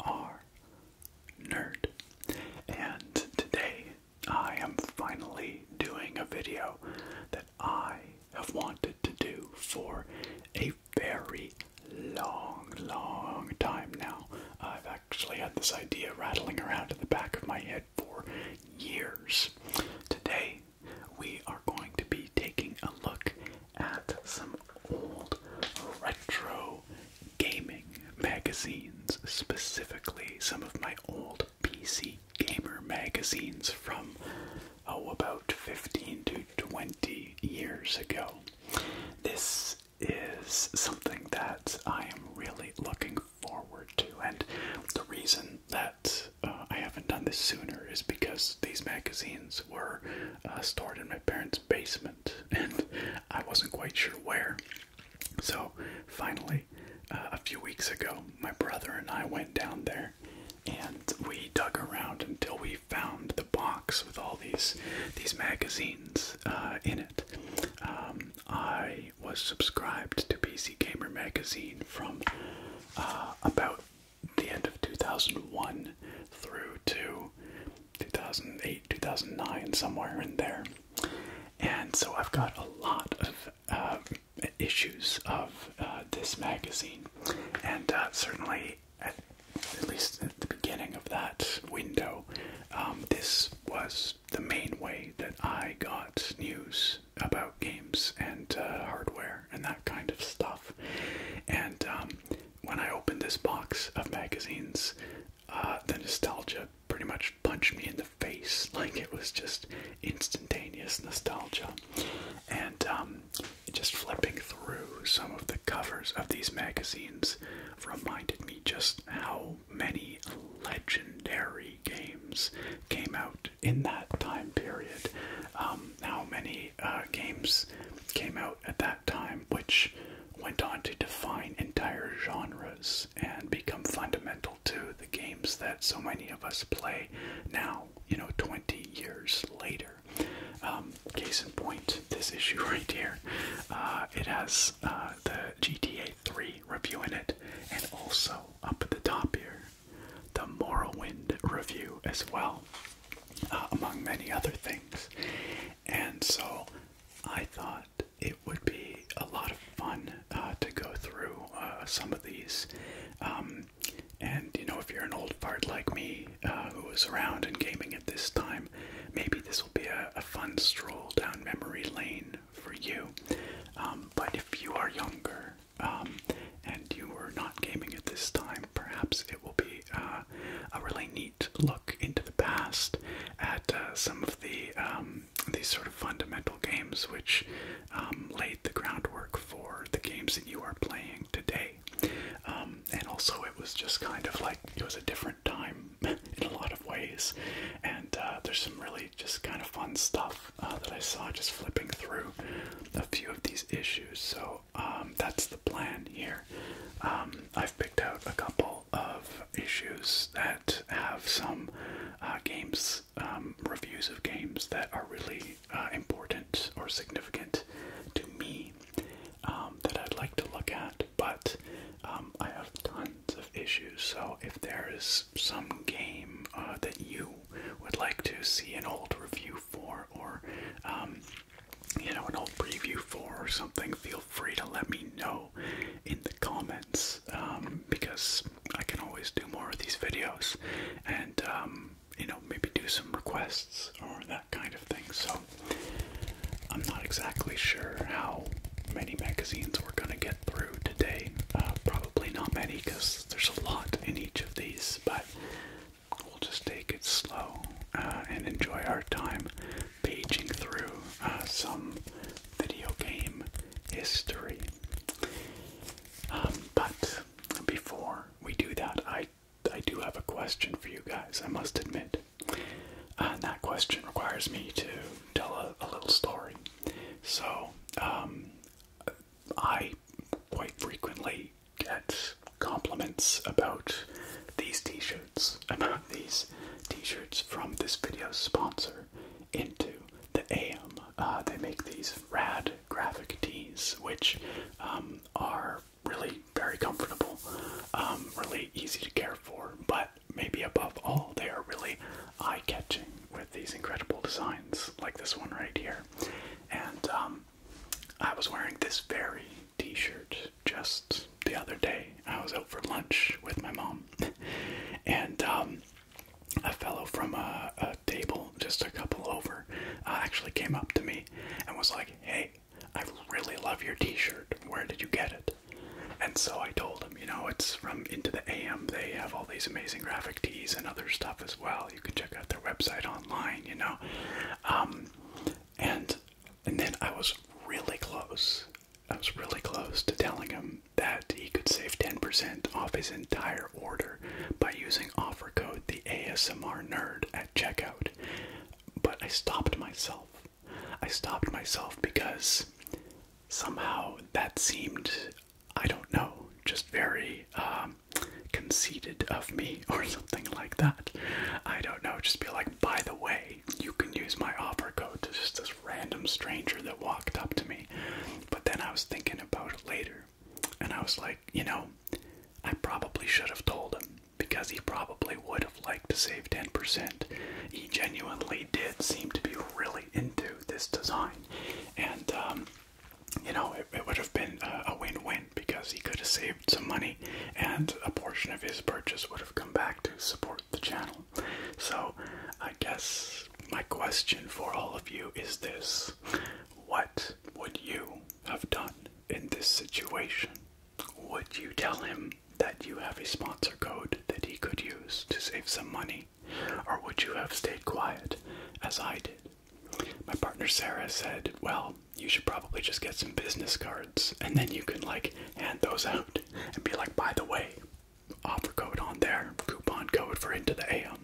are Nerd. And today I am finally doing a video that I have wanted to do for a very long, long time now. I've actually had this idea rattling around in the back of my head for years. Today, we are going to be taking a look at some old retro gaming magazines, specifically some of my old PC gamer magazines from oh about 15 to 20 years ago. This is something that I am really looking forward to, and the reason that uh, I haven't done this sooner is because these magazines were uh, stored in my parents' basement, and I wasn't quite sure where. So finally, uh, a few weeks ago, my brother and I went down there and we dug around until we found the box with all these these magazines uh, in it. Um, I was subscribed to PC Gamer magazine from uh, about the end of 2001 through to 2008, 2009, somewhere in there. And so I've got a lot of um, issues of uh, this magazine, and uh, certainly at, least at the beginning of that window, um, this was the main way that I got news about games and uh, hardware and that kind of stuff. And um, when I opened this box of magazines, uh, the nostalgia pretty much punched me in the face. Like it was just instantaneous nostalgia. And um, just flipping through some of the covers of these magazines reminded me just how many legendary games came out in that time period. Um, how many uh, games came out at that time, which went on to define entire genres and become fundamental to the games that so many of us play now, you know, 20 years later. Um, case in point, this issue right here, uh, it has uh, the GTA 3 review in it, and also up at the top here, the Morrowind review as well, uh, among many other things. And so I thought it would be a lot of fun uh, to go through uh, some of these. Um, and you know, if you're an old fart like me uh, who was around in gaming at this time, maybe this will be a, fun stroll down memory lane for you. Um, but if you are younger um, and you were not gaming at this time, perhaps it will be uh, a really neat look into the past at uh, some the um, these sort of fundamental games which um, laid the groundwork for the games that you are playing today. Um, and also, it was just kind of like it was a different time in a lot of ways. And uh, there's some really just kind of fun stuff uh, that I saw just flipping through a few of these issues. So that's the plan here. I've picked out a couple of issues that have some uh, games, um, reviews of games that are really uh, important or significant to me um, that I'd like to look at, but um, I have tons of issues. So if there is some game uh, that you would like to see an old review for, or you know, an old preview for, or something, feel free to let me know in the comments um, because I can always do more of these videos and um, you know maybe do some requests or that kind of thing. So I'm not exactly sure how many magazines we're gonna get through today. Uh, probably not many because there's a lot in each of these, but we'll just take it slow uh, and enjoy our time paging through uh, some video game history. Um, but before we do that, I I do have a question for you guys. I must admit, that question requires me to tell a, little story. So, um, I quite frequently get compliments about these T-shirts, about these T-shirts from this video sponsor, into the AM. Uh, they make these rad graphic tees, which um, are really very comfortable, um, really easy to care for, but maybe above all, they are really eye catching with these incredible designs, like this one right here. And um, I was wearing this very t shirt just the other day. I was out for lunch with my mom um, and um, a fellow from a, a table just a couple over uh, actually came up to me and was like, hey, I really love your t shirt. Where did you get it? And so I told him, you know, it's from Into the AM. They have all these amazing graphic tees and other stuff as well. You can check out their website online, you know. Um, and and then I was really close I was really close to telling him that he could save 10% off his entire order by using offer code the ASMR nerd at checkout. But I stopped myself. I stopped myself because somehow that seemed, I don't know, just very um, conceited of me or something like that. I don't know, just be like, by the way, you can use my offer code to just to this random stranger that walked up to me. But then I was thinking about it later, and I was like, you know, I probably should have told him because he probably would have liked to save 10%. He genuinely did seem to be really into this design, and um, you know, it, it would have been a win win because he could have saved some money and a portion of his purchase would have come back to support the channel. So, I guess my question for all of you is this What would you have done in this situation? Would you tell him that you have a sponsor code that he could use to save some money? Or would you have stayed quiet as I did? My partner Sarah said, Well, you should probably just get some business cards and then you can like hand those out and be like, By the way, offer code on there, coupon code for Into the AM.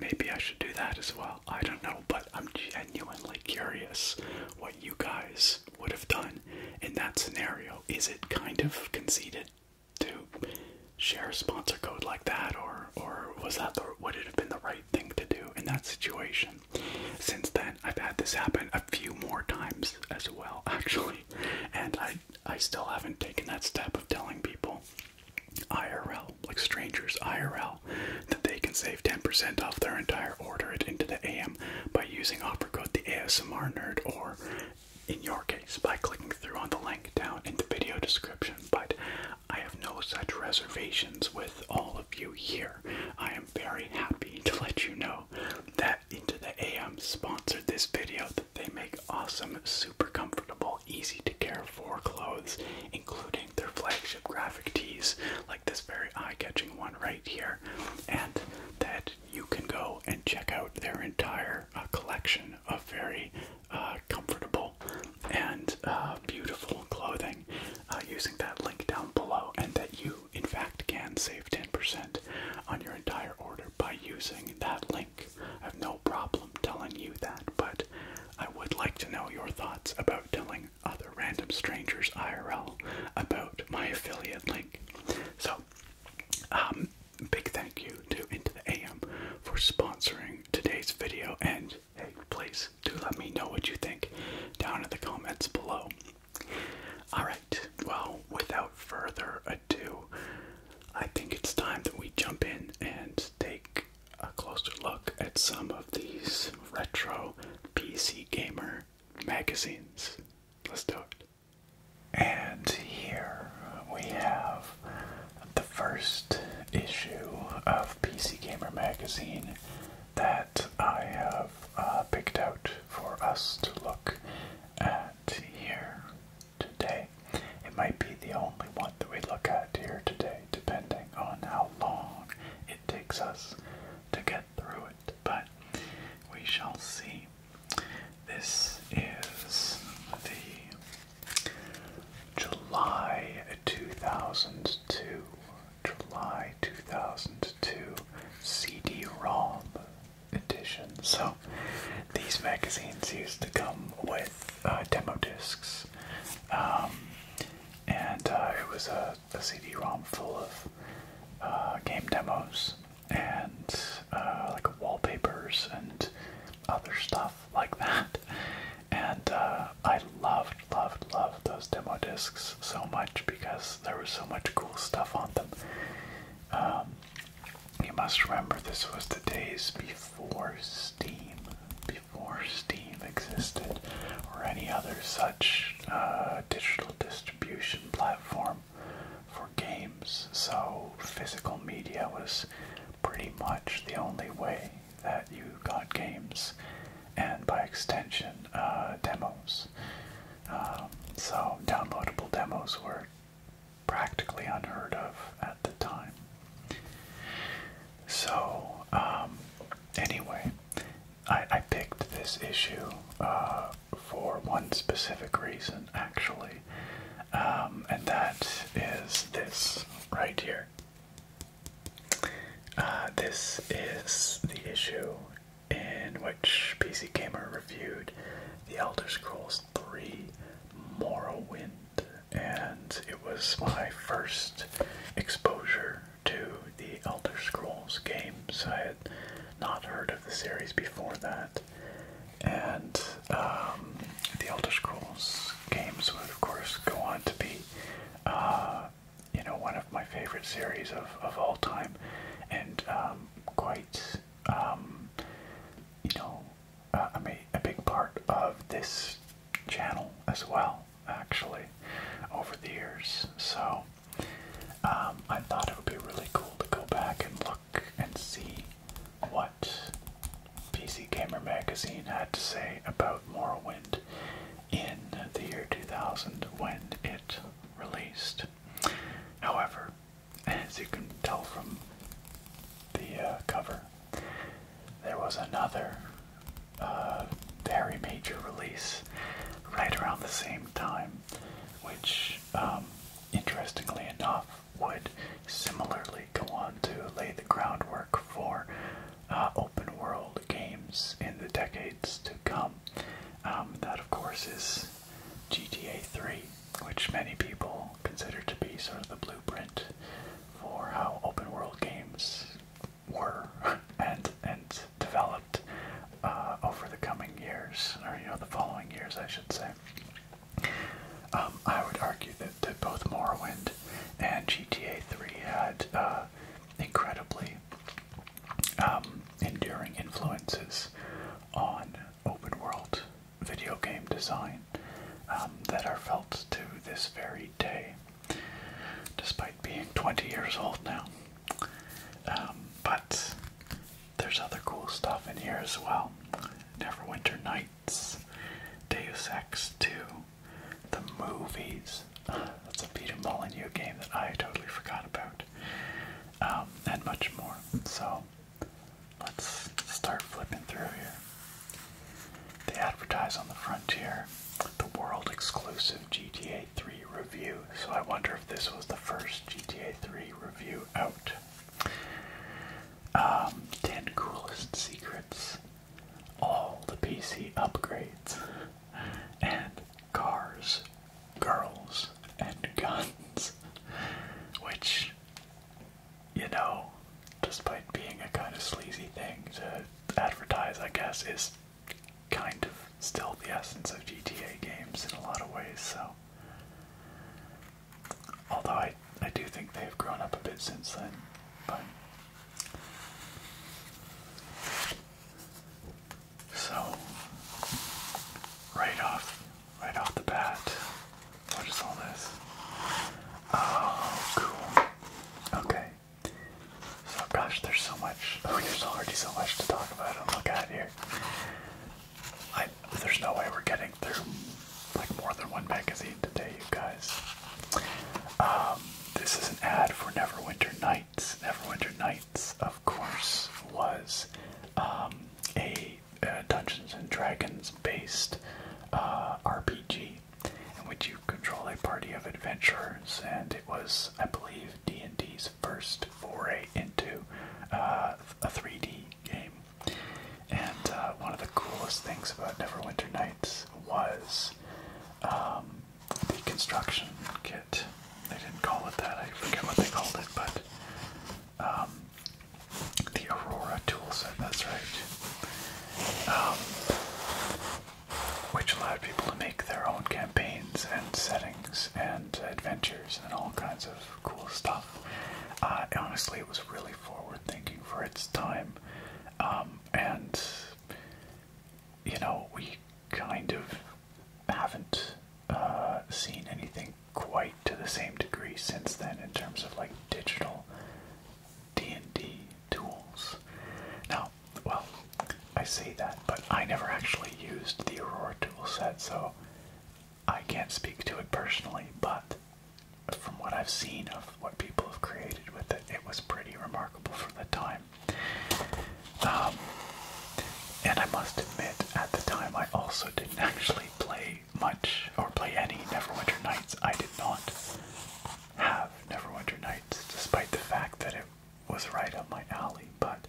Maybe I should do that as well. I don't know, but I'm genuinely curious what you guys would have done in that scenario. Is it kind of conceited to share sponsor code like that, or or was that would it have been the right thing to do in that situation? Since then, I've had this happen a few more times as well, actually, and I I still haven't taken that step of telling people IRL, like strangers IRL, that they can save 10% off their entire order at Into the AM by using offer code the ASMR Nerd or, in your case, by clicking through on the link down in the video description. But I have no such reservations with all of you here. I am very happy to let you know that Into the AM sponsored this video. They make awesome, super comfortable, easy to care for clothes, including their flagship graphic tees, like this very eye catching one right here. And that you can go and check out their entire uh, collection of very uh, comfortable and uh, beautiful clothing using that link down below, and that you, in fact, can save 10% on your entire order by using that link. I have no problem telling you that, but I would like to know your thoughts about telling other random strangers IRL about my affiliate link. So, um, big thank you to Into the AM for sponsoring today's video, and hey, please do let me know what you think down in the comments below. Alright, well, without further ado, I think it's time that we jump in and take a closer look at some of these retro PC gamer magazines. Let's do it. And here we have the first issue of PC Gamer magazine that I have uh, picked out for us to look at here today. It might be the only one that we look at here today, depending on how long it takes us to get through it, but we shall see. This is the July 2002, July 2002 CD-ROM edition. So these magazines used to come with uh, demo discs, um, and uh, it was a, CD-ROM full of uh, game demos and like wallpapers and other stuff like that. And I loved, loved, loved those demo discs so much because there was so much cool stuff on them. Um, you must remember this was the days before Steam, before Steam existed, or any other such uh, digital distribution platform for games. So physical media was pretty much the only way that you got games, and by extension, uh, demos. Um, so downloadable demos were practically unheard of at the time. So, um, anyway, I, I picked this issue uh, for one specific reason, actually, um, and that is this right here. Uh, this is the issue in which PC Gamer reviewed The Elder Scrolls 3 Morrowind, and it was my first exposure to the Elder Scrolls games. I had not heard of the series before that, and um, the Elder Scrolls games would, of course, go on to be. Uh, you know, one of my favorite series of, of all time, and um, quite, um, you know, I uh, mean, a big part of this channel as well, actually, over the years. So um, I thought it would be really cool to go back and look and see what PC Gamer Magazine had to say about Morrowind in the year 2000 when it released. However, as you can tell from the uh, cover, there was another uh, very major release right around the same time, which, um, interestingly enough, would similarly go on to lay the groundwork for uh, open world games in the decades to come. Um, that, of course, is GTA 3 which many people consider to be sort of the blueprint for how open world games were and and developed uh, over the coming years, or you know, the following years, I should say. Um, I would argue that, that both Morrowind and GTA 3 had uh, incredibly um, enduring influences on open world video game design um, that are felt to this very day, despite being 20 years old now. Um, but there's other cool stuff in here as well. Neverwinter Nights, Deus Ex 2, the movies. that's a Peter Molyneux game that I totally forgot about, um, and much more. So Let's start flipping through here. They advertise on the frontier the world exclusive GTA 3 review, so I wonder if this was the first GTA 3 review out. Um, 10 coolest secrets, all the PC upgrades, and cars, girls, and guns. Which you know, despite being a kind of sleazy thing to advertise, I guess, is kind of still the essence of GTA games in a lot of ways, so. Although I, I do think they've grown up a bit since then, but. So, right off right off the bat. What is all this? Oh, cool. Okay. So, gosh, there's so much. Oh, there's already so much to talk about and look at here. I, there's no way we're getting through like more than one magazine today, you guys. Um, this is an ad for Neverwinter Nights. Neverwinter Nights, of course, was um, a uh, Dungeons and Dragons based uh, RPG in which you control a party of adventurers, and it was, I believe, D&D's first foray into uh, a 3D game. And one of the coolest things about Neverwinter Nights was um, the construction kit. They didn't call it that. I forget what they called it, but um, the Aurora toolset, that's right. Um, which allowed people to make their own campaigns and settings and adventures and all kinds of cool stuff. Uh, honestly, it was really forward thinking for its time. Um, and, you know, we kind of haven't uh, seen anything quite to the same degree since then in terms of like digital D&D tools. Now, well, I say that, but I never actually used the Aurora tool set, so I can't speak to it personally, but from what I've seen of what people have created with it, it was pretty remarkable for the time. Um, and I must admit, at the time, I also didn't actually play much or play any Neverwinter Nights. I did not have Neverwinter Nights, despite the fact that it was right up my alley. But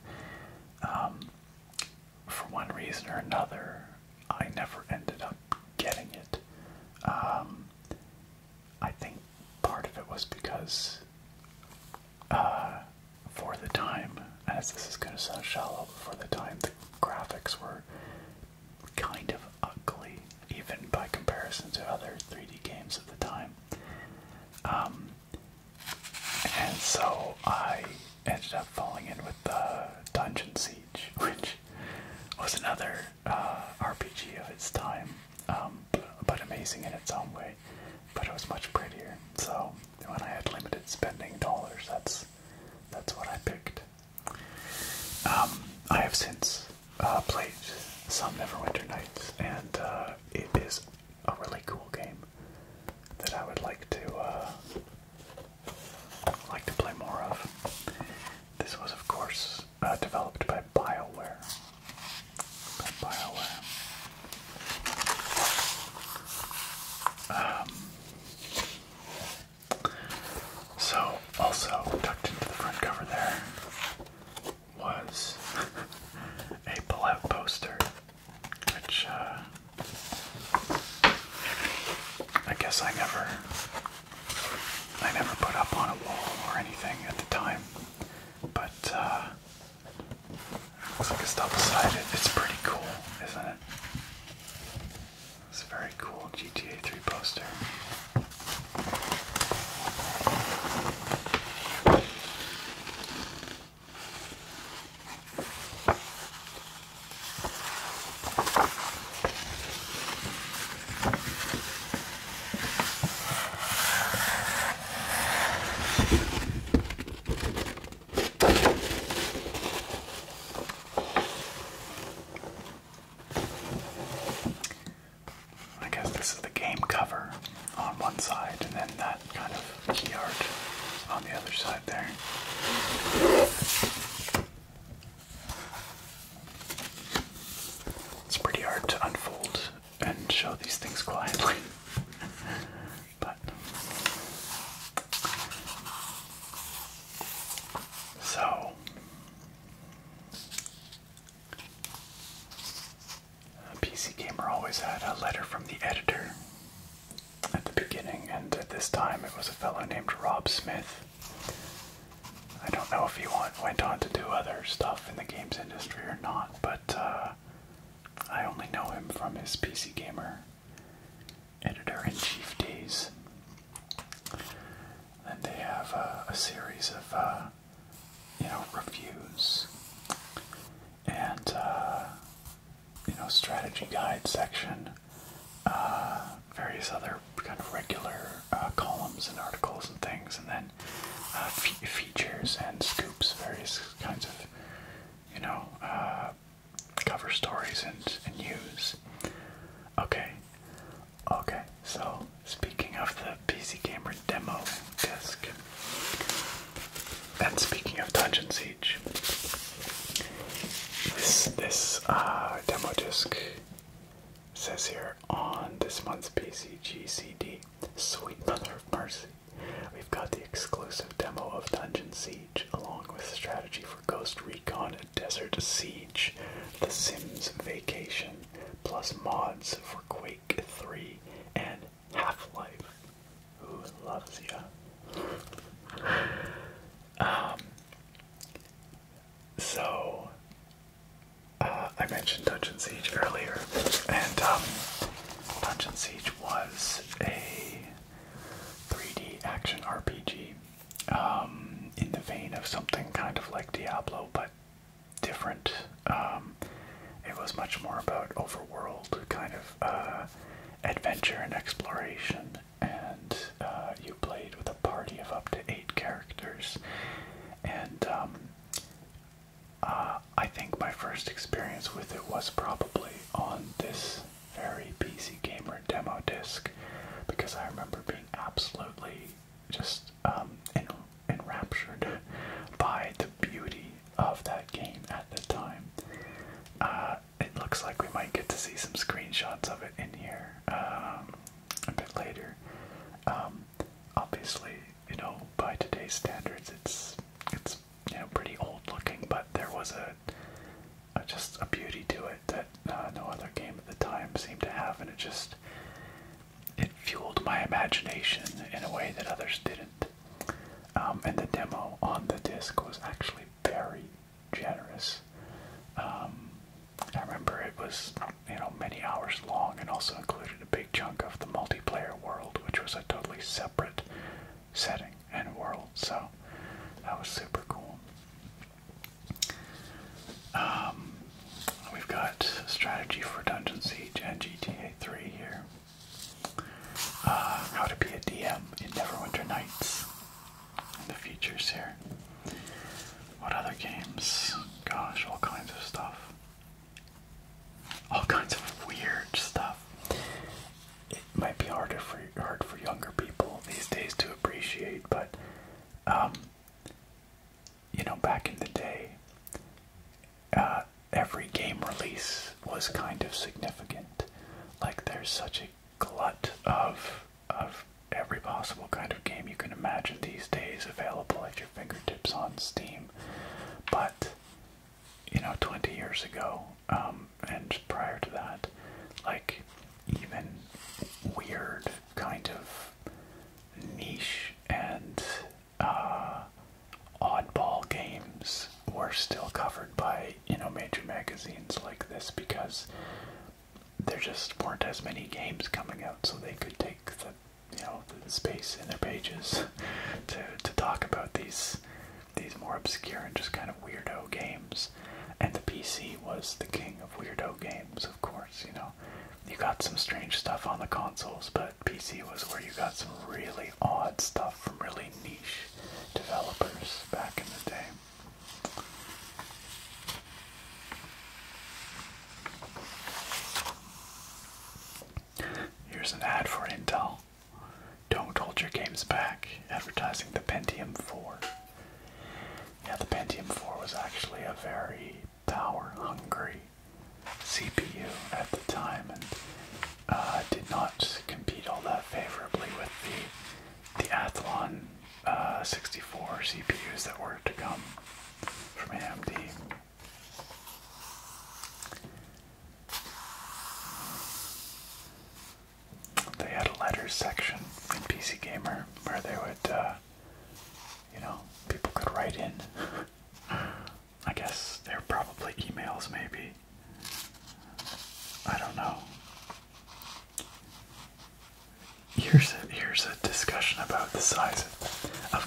um, for one reason or another, I never ended up getting it. Um, I think part of it was because, uh, for the time, as this is going to sound shallow, for the time the graphics were kind of ugly, even by comparison to other 3D games of the time. Um, and so I ended up falling in with the Dungeon Siege, which was another uh, RPG of its time, um, but amazing in its own way. But it was much prettier. So when I had limited spending dollars, that's that's what I picked. Um, I have since uh, played some Neverwinter Nights, and uh, it is a really cool game that I would like to uh, like to play more of. This was, of course, developed by BioWare. By BioWare. Um, so, also tucked into the front cover there was a pullout poster, which uh, I guess I never, I never put up on a wall or anything at the time, but. Uh, looks like it's double sided. It's pretty cool, isn't it? It's a very cool GTA 3 poster. I guess this is the game cover on one side, and then that kind of key art on the other side there. It's pretty hard to unfold and show these things quietly. but so PC Gamer always had a letter from the editor at the beginning, and at this time it was a fellow named Rob Smith. I don't know if he went on to do other stuff in the games industry or not, but uh, I only know him from his PC Gamer editor in chief days. Then they have uh, a series of, uh, you know, reviews and, uh, you know, strategy guide section, uh, various other kind of regular uh, columns and articles and things, and then uh, fe features and scoops, various kinds of, you know, uh, cover stories and, and news. Okay, Okay, so speaking of the PC Gamer demo disc, and speaking of Dungeon Siege, this this uh, demo disc says here on this month's PCG CD, sweet mother of mercy, we've got the exclusive demo of Dungeon Siege along with strategy for. Ghost Recon Desert Siege, The Sims Vacation, plus mods for Quake 3 and Half-Life. Who loves ya? um, so, uh, I mentioned Dungeon Siege earlier, and um, Dungeon Siege was a 3D action RPG um, in the vein of something kind of like Diablo, but different. Um, it was much more about overworld kind of uh, adventure and exploration, and uh, you played with a party of up to eight characters. And um, uh, I think my first experience with it was probably on this very PC Gamer demo disc, because I remember being absolutely just um, enraptured by the beauty of that game at the time. Uh, it looks like we might get to see some screenshots of it in here um, a bit later. Um, obviously, you know, by today's standards, it's it's you know pretty old looking, but there was a just a beauty to it it that uh, no other game at the time seemed to have, and it just it fueled my imagination in a way that others didn't. Um, and the demo on the disc was actually very generous. Um, I remember it was you know many hours long, and also included a big chunk of the multiplayer world, which was a totally separate setting and world. So that was super cool. Um, we've got strategy for Dungeon Siege and GTA 3 here. Uh, how to be a DM in Neverwinter Nights. And the features here. What other games? Gosh, all kinds of stuff. All kinds of weird stuff. It might be harder for hard for younger people these days to appreciate, but um, you know, back in the day, uh, every game release was kind of significant. Like, there's such a glut of of every possible kind of game you can imagine these days available at your fingertips on Steam. But you know, 20 years ago, um, and prior to that, like even weird kind of niche and uh, oddball games were still covered by you know major magazines like this because there just weren't as many games coming out, so they could take the you know space in their pages to to talk about these these more obscure and just kind of weirdo games. And the PC was the king of weirdo games, of course, you know you got some strange stuff on the consoles, but PC was where you got some really odd stuff from really niche developers back in the day. Here's an ad for Intel. Don't hold your games back. Advertising the Pentium 4. Yeah, the Pentium 4 was actually a very power hungry CPU at the time and uh, did not compete all that favorably with the, Athlon uh, 64 CPUs that were to come from AMD. They had a letters section in PC Gamer where they would uh, you know, people could write in. I guess they're probably emails, maybe. I don't know. Here's a, here's a discussion about the size of,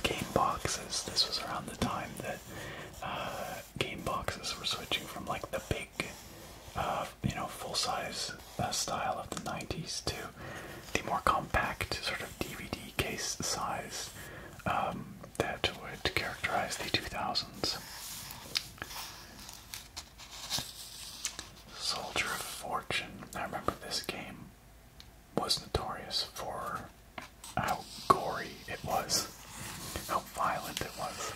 game boxes. This was around the time that uh, game boxes were switching from like the big, uh, you know, full size uh, style of the 90s to the more compact sort of DVD case size um, that would characterize the 2000s. Soldier of Fortune. I remember this game was notorious for how gory it was, how violent it was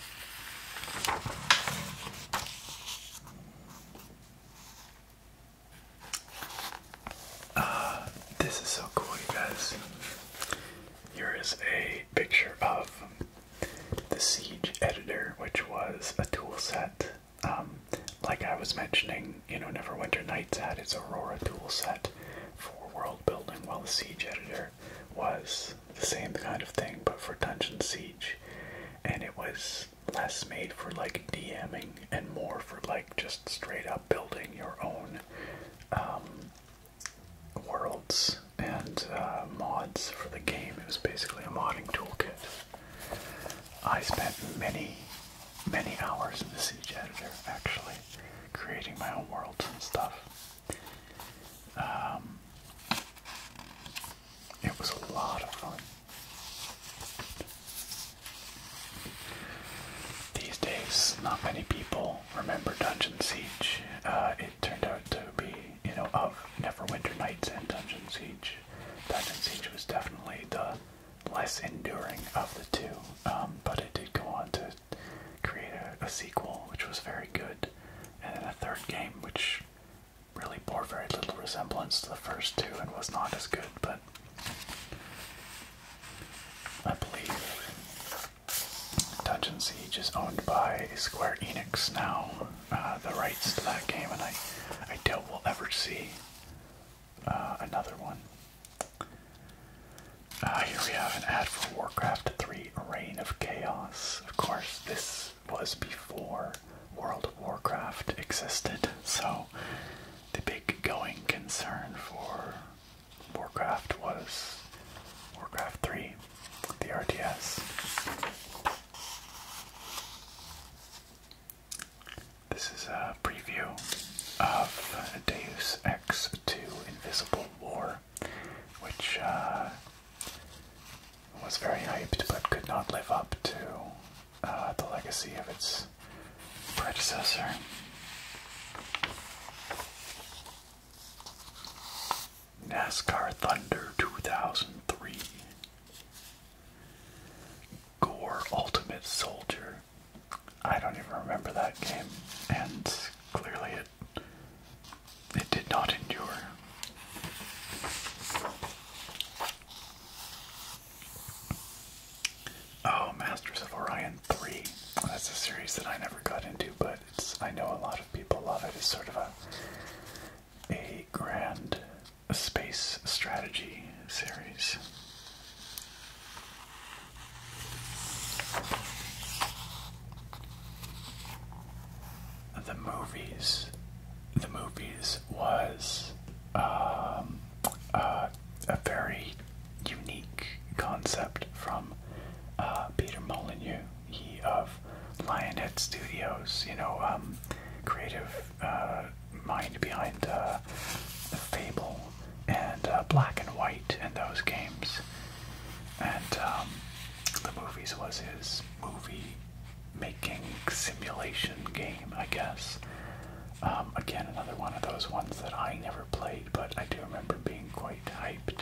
this is so cool, you guys. Here is a picture of the Siege Editor, which was a tool set. Um, like I was mentioning, you know, Neverwinter Nights had its Aurora tool set for world building, while the Siege Editor was the same kind of thing, but for Dungeon Siege. And it was less made for like DMing and more for like just straight up building your own um, worlds and uh, mods for the game. It was basically a modding toolkit. I spent many, many hours in the Siege Editor actually creating my own worlds and stuff. Um, it was a lot of fun. These days, not many people remember Dungeon Siege. Uh, it turned out to be, you know, of Neverwinter Nights and Dungeon Siege. Dungeon Siege was definitely the less enduring of the two, um, but it did go on to create a sequel, which was very good, and then a third game, which really bore very little resemblance to the first two and was not as good, but I believe Touch Siege is owned by Square Enix now, uh, the rights to that game, and I, I doubt we'll ever see uh, another one. Uh, here we have an ad for Warcraft 3 Reign of Chaos. Of course, this was before World of Warcraft existed, so the big going concern for Warcraft was Warcraft 3, the RTS. This is a preview of Deus Ex 2 Invisible War, which uh, was very hyped but could not live up to uh, the legacy of its predecessor. NASCAR Thunder 2003. Gore Ultimate Soldier. I don't even remember that game, and clearly it it did not endure. Oh, Masters of Orion 3. That's a series that I never got into, but it's, I know a lot of people love it. It's sort of a, a grand space strategy series. The movies. The movies was um, uh, a very unique concept from uh, Peter Molyneux, he of Lionhead Studios, you know, um, creative uh, mind behind the Fable and Black and White and those games. And um, the movies was his movie making simulation game, I guess. Um, again, another one of those ones that I never played, but I do remember being quite hyped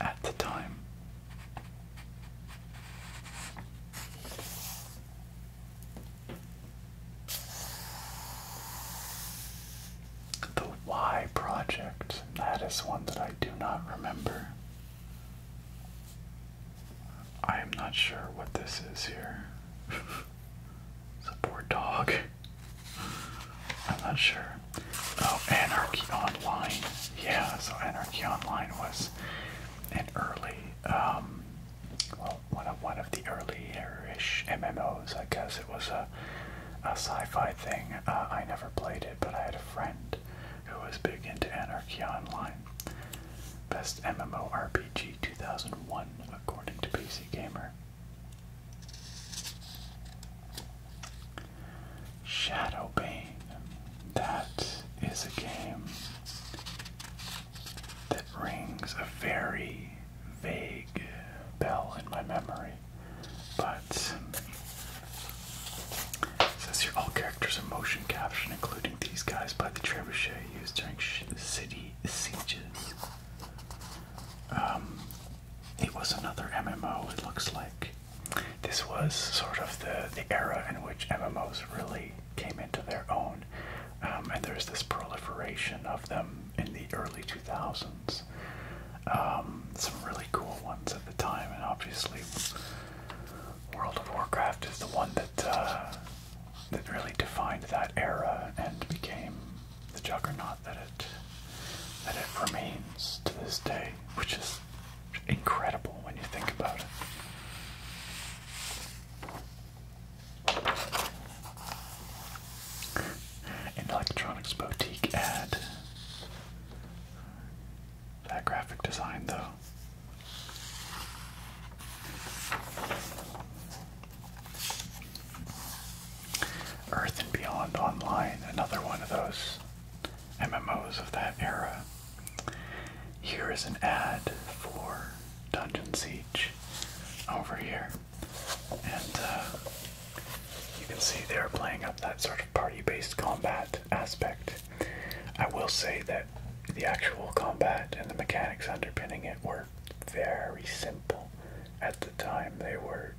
at the time. The Y Project, that is one that I do not remember. I am not sure what this is here. It's a poor dog. I'm not sure. Oh, Anarchy Online. Yeah, so Anarchy Online was an early, um, well, one of one of the earlier-ish MMOs. I guess it was a, a sci-fi thing. Uh, I never played it, but I had a friend who was big into Anarchy Online. Best MMORPG 2001 according to PC Gamer. Shadowbane. That is a game that rings a very vague bell in my memory. But it says here all characters are motion captured, including these guys by the trebuchet used during sh city sieges. Um, it was another MMO, it looks like. This was sort of the, the era in which MMOs really came into their own, um, and there's this proliferation of them in the early 2000s. Um, some really cool ones at the time, and obviously, World of Warcraft is the one that uh, that really defined that era and became the juggernaut that it that it remains to this day, which is incredible when you think about it. An electronics boutique ad. That graphic design, though. Earth and Beyond Online, another one of those MMOs of that era. Here is an ad for Dungeon Siege over here. And uh, you can see they're playing up that sort of party based combat aspect. I will say that the actual combat and the mechanics underpinning it were very simple at the time. They were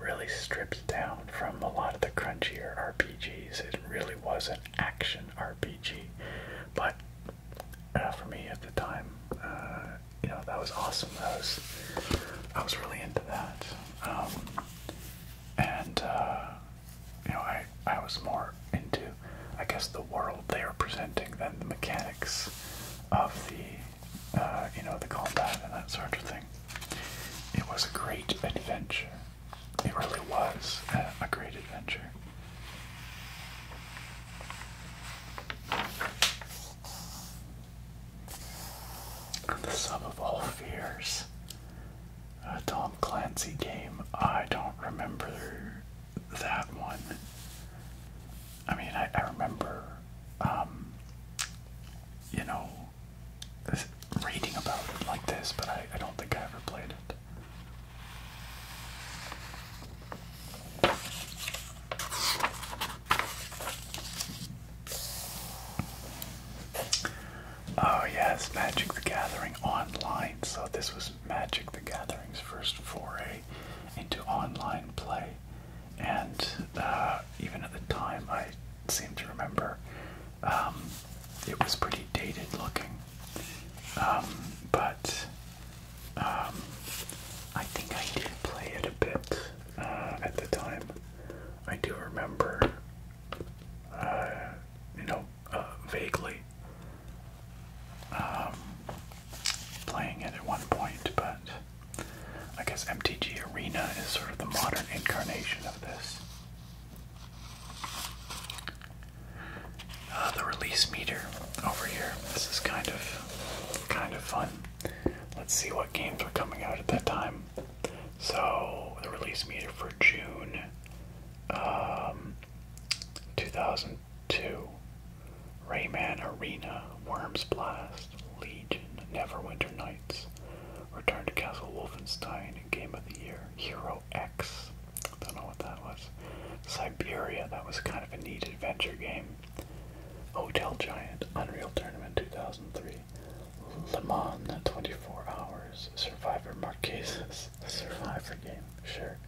really stripped down from a lot of the crunchier RPGs. It really was an action RPG, but uh, for me at the time, uh, you know that was awesome. That was I was really into that, um, and uh, you know I I was more into I guess the world they were presenting than the mechanics of the uh, you know, the combat and that sort of thing. It was a great adventure. It really was a, a great adventure. The sum of all fears. A Tom Clancy game. I don't remember that one. I mean, I, I remember, um, you know, reading about it like this, but I, I don't think I ever played it. Oh yes, Magic the Gathering online. So this was Magic the Gathering's first foray into online play and uh, even at the time, I seem to remember um, it was pretty dated looking. Um, but um, I think I did play it a bit uh, at the time. I do remember, uh, you know, vaguely playing it at one point, but I guess MTG Arena is sort of the modern incarnation of this. Uh, the release meter over here. This is kind of kind of fun. Let's see what games were coming out at that time. So the release meter for June um, 2000. 2. Rayman Arena, Worms Blast, Legion, Neverwinter Nights, Return to Castle Wolfenstein, Game of the Year, Hero X, don't know what that was, Siberia, that was kind of a neat adventure game, Hotel Giant, Unreal Tournament 2003, Le Mans 24 Hours, Survivor Marquesas, Survivor game, sure,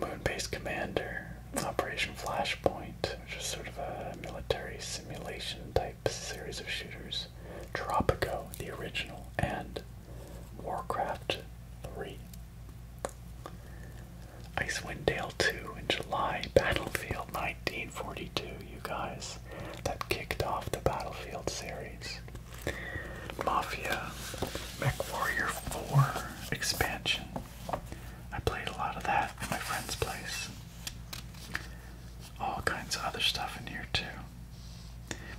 Moonbase Commander, Operation Flashpoint, just sort of a military simulation type series of shooters, Tropico, the original, and Warcraft 3. Icewind Dale 2 in July, Battlefield 1942, you guys. That kicked off the Battlefield series. Mafia MechWarrior 4 expansion I played a lot of that at my friend's place. All kinds of other stuff in here, too.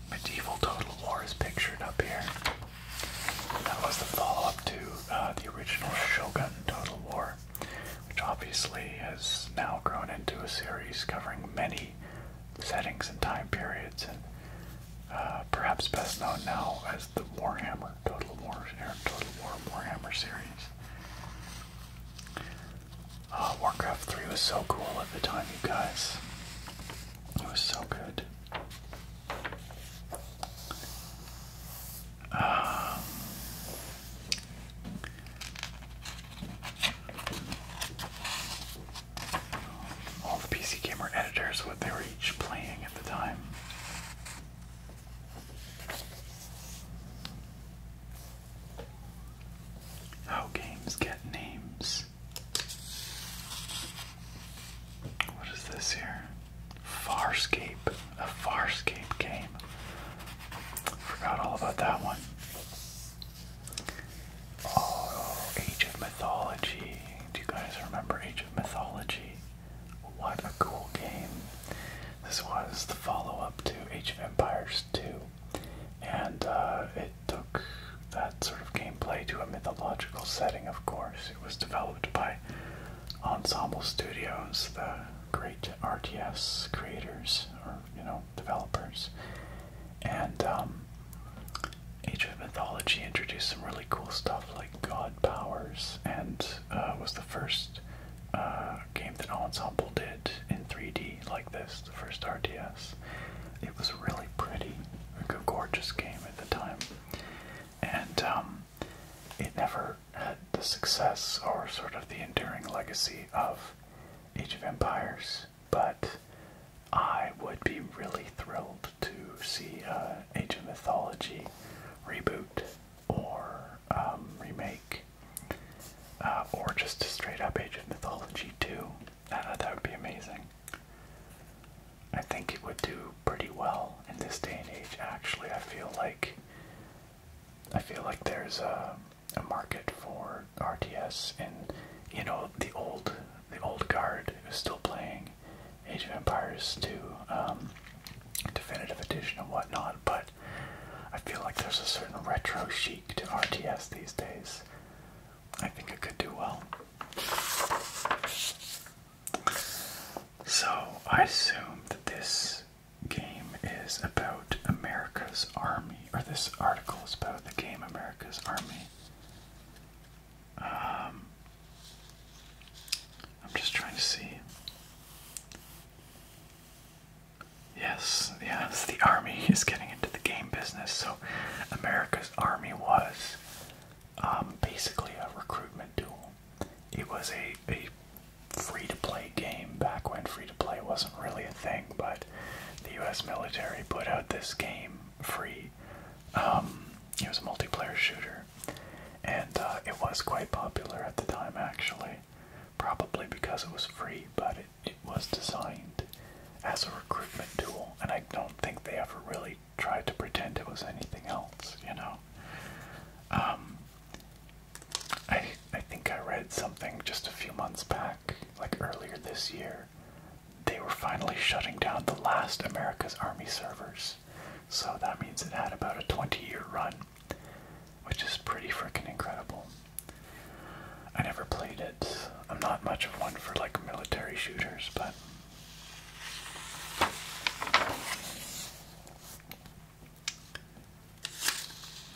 Medieval Total War is pictured up here. That was the follow up to uh, the original Shogun Total War, which obviously has now grown into a series covering many settings and time periods, and uh, perhaps best known now as the Warhammer Total War, Total War Warhammer series. Uh, Warcraft 3 was so cool at the time, you guys. It was so good. Um, all the PC Gamer editors, what they were each playing at the time. How games get names. What is this here? Farscape. A Farscape game. Forgot all about that one. Oh, Age of Mythology. Do you guys remember Age of Mythology? What a cool game. This was the follow up to Age of Empires 2, and uh, it took that sort of gameplay to a mythological setting, of course. It was developed by Ensemble Studios, the great RTS creators, or, you know, developers. And um, Age of Mythology introduced some really cool stuff like god powers and uh, was the the first uh, game that Ensemble did in 3D like this, the first RTS. It was really pretty, a gorgeous game at the time, and um, it never had the success or sort of the enduring legacy of Age of Empires. But I would be really thrilled to see uh, Age of Mythology reboot or um, remake, uh, or just a straight up Age of Mythology 2. Uh, that would be amazing. I think it would do pretty well in this day and age. Actually, I feel like I feel like there's a, a market for RTS, and you know the old the old guard is still playing Age of Empires 2. Um, definitive edition and whatnot, but I feel like there's a certain retro chic to RTS these days. I think it could do well. So, I assume that this game is about America's Army, or this article is about the game America's Army. Um, I'm just trying to see. Yes, yes, the army is getting into the game business. So, America's army was um, basically a recruitment tool. It was a, a free to play game back when free to play wasn't really a thing, but the US military put out this game free. Um, it was a multiplayer shooter and uh, it was quite popular at the time actually probably because it was free but it, it was designed as a recruitment tool and i don't think they ever really tried to pretend it was anything else you know um, I, I think i read something just a few months back like earlier this year they were finally shutting down the last america's army servers so that means it had about a 20 year run which is pretty freaking incredible. I never played it. I'm not much of one for like military shooters, but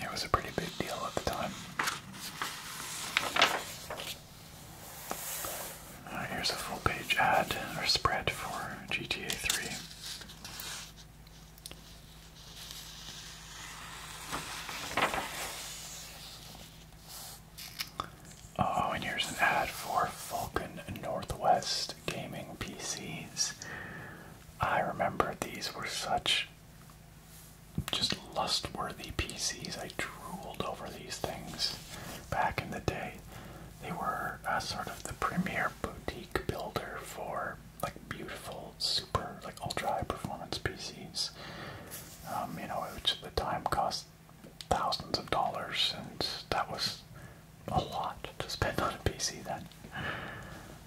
it was a pretty big deal at the time. here's a full page ad or spread for GTA 3. Oh, and here's an ad for Vulcan Northwest gaming PCs. I remember these were such just lust-worthy PCs. I drooled over these things back in the day. They were uh, sort of the premier boutique builder for like beautiful, super like ultra high performance PCs. Um, you know, which at the time cost thousands of dollars, and that was a lot to spend on a PC then.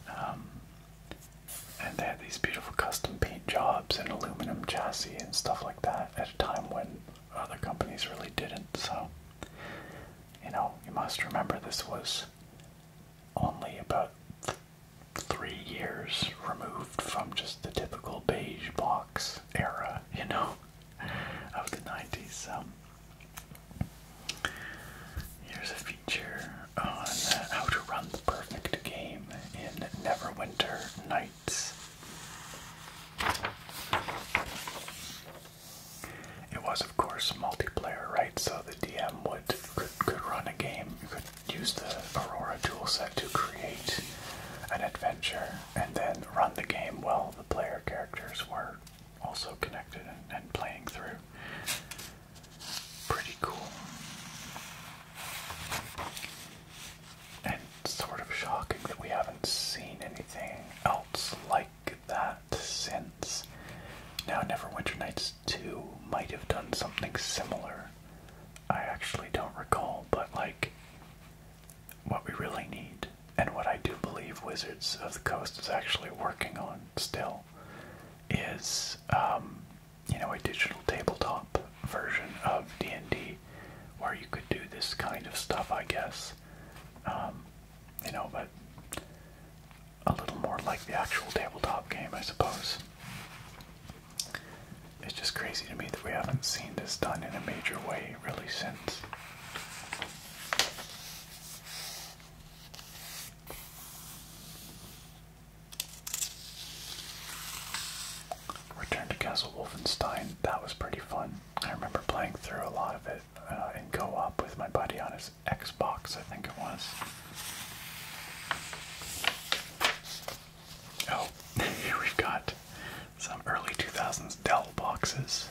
Um, and they had these beautiful custom paint jobs and aluminum chassis and stuff like that at a time when other companies really didn't. So, you know, you must remember this was only about three years removed from just the typical beige box era, you know, of the 90s. Um, here's a feature on how to run the perfect game in Neverwinter Nights. It was, of course, multiplayer, right? So the DM would could, run a game. You could use the Aurora toolset to create an adventure and then run the game while the player characters were also connected and, and playing through. Pretty cool. And sort of shocking that we haven't seen anything else like like that since. Now, Neverwinter Nights 2 might have done something similar. I actually don't recall, but like, what we really need, and what I do believe Wizards of the Coast is actually working on still, is, um, you know, a digital tabletop version of D&D where you could do this kind of stuff, I guess. Um, you know, but a little more like the actual tabletop game, I suppose. It's just crazy to me that we haven't seen this done in a major way really since. Return to Castle Wolfenstein, that was pretty fun. I remember playing through a lot of it. Uh, and go up with my buddy on his Xbox, I think it was. Oh, here we've got some early 2000s Dell boxes.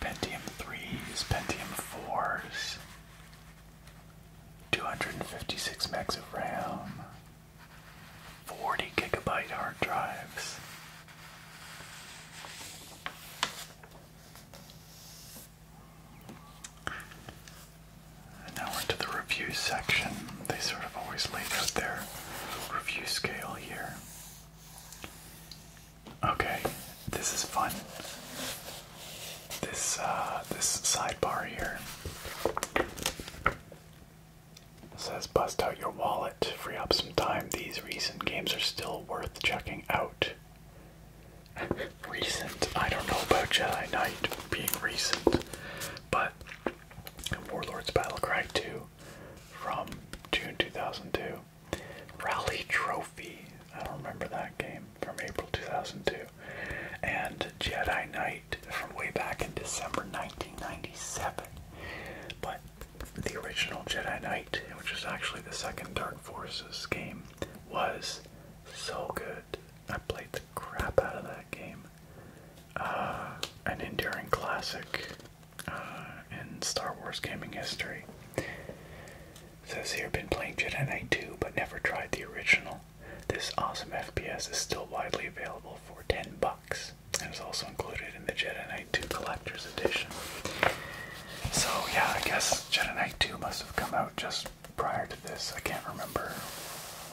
Pentium 3s, Pentium 4s, 256 megs of RAM, 40 gigabyte hard drives now we're into the review section. They sort of always laid out their review scale here. Okay, this is fun. This uh, this sidebar here. says bust out your wallet free up some time. These recent games are still worth checking out. recent? I don't know about Jedi Knight being recent, but Warlords Battlecry 2 from June 2002. Rally Trophy, I don't remember that game, from April 2002. And Jedi Knight from way back in December 1997. But the original Jedi Knight, which is actually the second Dark Forces game, was so good. I played the crap out of that game. Uh, an enduring classic uh, in Star Wars gaming history. It says here, been playing Jedi Knight 2, but never tried the original. This awesome FPS is still widely available for 10 bucks and is also included the Jedi Knight 2 Collector's Edition. So, yeah, I guess Jedi Knight 2 must have come out just prior to this. I can't remember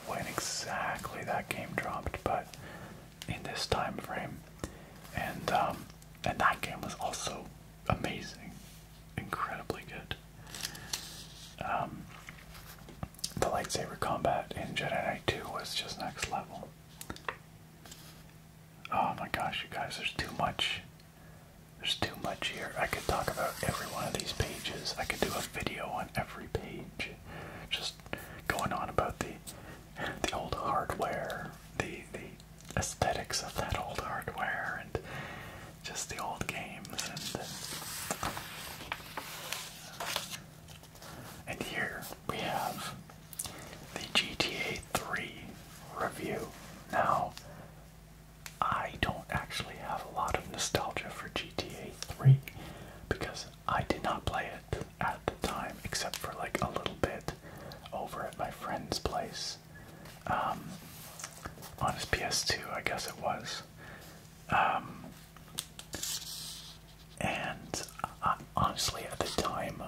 when exactly that game dropped, but in this time frame. And, um, and that game was also amazing, incredibly good. Um, the lightsaber combat in Jedi Knight 2 was just next level. Oh my gosh, you guys, there's too much. There's too much here. I could talk about every one of these pages. I could do a video on every page. Just going on about the the old hardware, the the aesthetics of that old hardware and just the old games and and here we have the GTA 3 review. Now, I don't actually have a lot of nostalgia for GTA 3 because I did not play it at the time except for like a little bit over at my friend's place. Um, on his PS2, I guess it was. Um, and uh, honestly, at the time,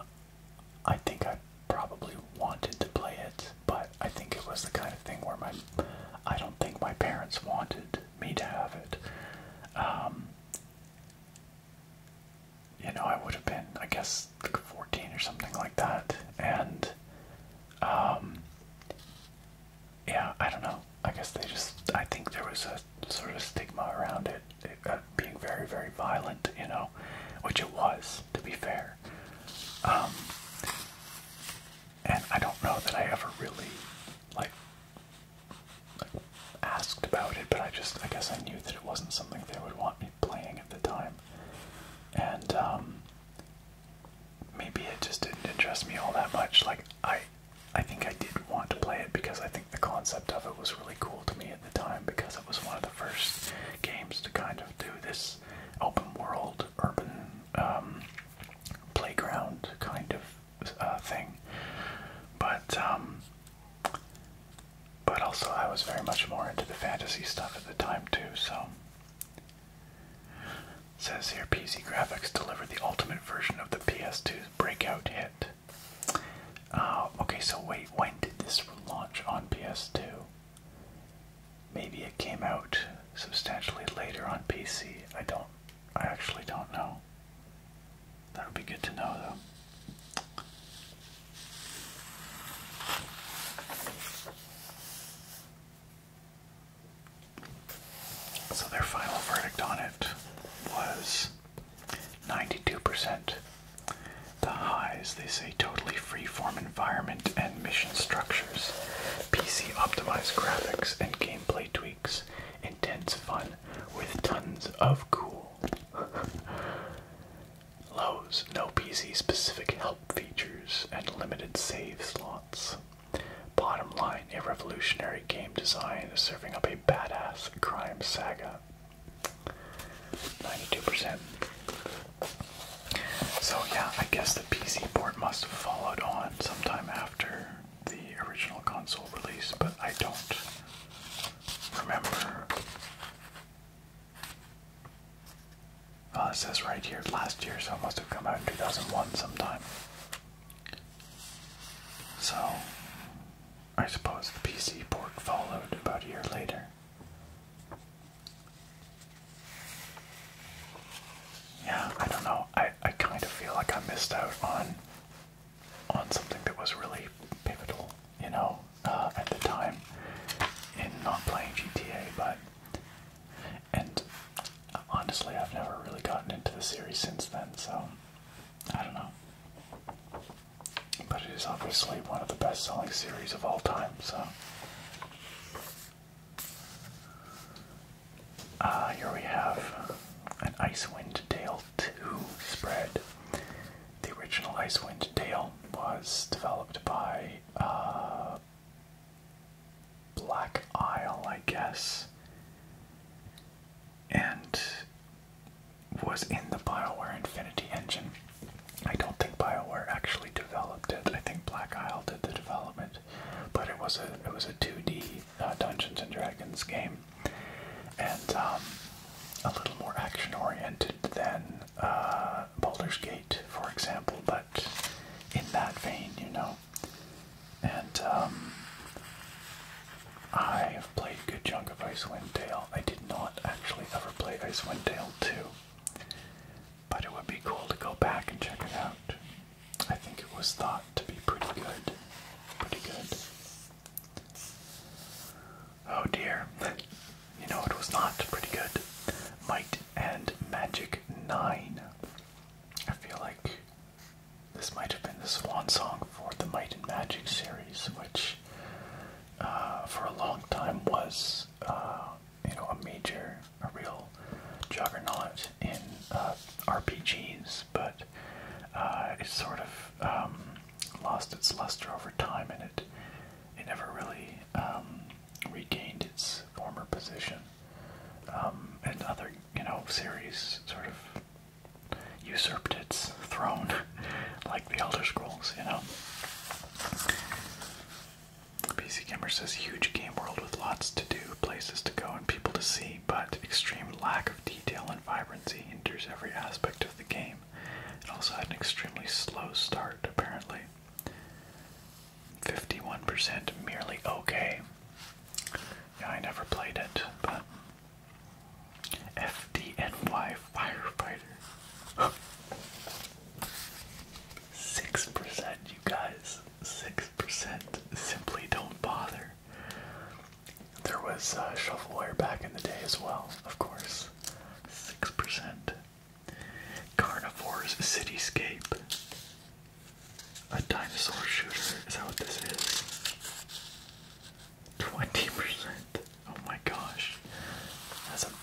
I think I probably wanted to play it, but I think it was the kind of thing where my I don't think my parents wanted me to have it. Um, you know, I would have been, I guess, like 14 or something like that, and um, yeah, I don't know. I guess they just, I think there was a sort of stigma around it. it uh, being very, very violent, you know, which it was, to be fair. Um, and I don't know that I ever really, like, asked about it, but I just, I guess I knew that it wasn't something they would want me playing at the time. And, um, maybe it just didn't interest me all that much. Like, I, I think I did want to play it because I think the concept of it was really cool to me the time because it was one of the first games to kind of do this open world, urban um, playground kind of uh, thing. But um, but also I was very much more into the fantasy stuff at the time too. So says here, PC Graphics delivered the ultimate version of the PS2's breakout hit. Uh, okay, so wait, when did this launch on PS2? Maybe it came out substantially later on PC. I don't, I actually don't know. That would be good to know though. So their final verdict on it was 92% the highs, they say, totally freeform environment and mission structures, PC optimized graphics and gameplay tweaks, intense fun with tons of cool. Lows, no PC specific help features and limited save slots. Bottom line, a revolutionary game design serving up a badass crime saga 92%. So, yeah, I guess the PC port must have followed on sometime after the original console release, but I don't remember. Well, it says right here last year, so it must have come out in 2001 sometime. So, I suppose the PC port followed about a year later. Yeah, I don't know. I, I kind of feel like I missed out on on something that was really pivotal, you know, uh, at the time in not playing GTA, but and honestly, I've never really gotten into the series since then, so I don't know. But it is obviously one of the best selling series of all time, so uh, here we have an Icewind Dale 2 spread. The original Icewind Dale was developed by uh, Black Isle, I guess, and was in the Bioware Infinity engine. I don't think BioWare actually developed it. I think Black Isle did the development, but it was a it was a 2D uh, Dungeons and Dragons game, and um, a little more action oriented than uh, Baldur's Gate, for example. But in that vein, you know. And um, I have played a good chunk of Icewind Dale. I did not actually ever play Icewind Dale 2. But it would be cool to go back and check it out. I think it was thought to be pretty good. Pretty good. Oh dear. You know, it was not pretty good. Might and Magic 9. I feel like this might have been the swan song for the Might and Magic series, which uh, for a long time was uh, you know a major, a real juggernaut in uh, RPGs, but uh, it sort of um, lost its luster over time, and it it never really um, regained its former position. Um, and other you know series sort of usurped its throne, like the Elder Scrolls, you know. PC Gamer says huge game world with lots to do, places to go, and people to see, but extreme lack of detail and vibrancy hinders every aspect of the game. It also had an extremely slow start, apparently. 51% merely okay. Yeah, I never played it, but. FDNY Firefighter. Six percent, you guys. Six percent. Simply don't bother. There was a shovelware back in the day as well, of course. Six percent. Carnivore's Cityscape. A dinosaur shooter. Is that what this is? Twenty percent. Oh my gosh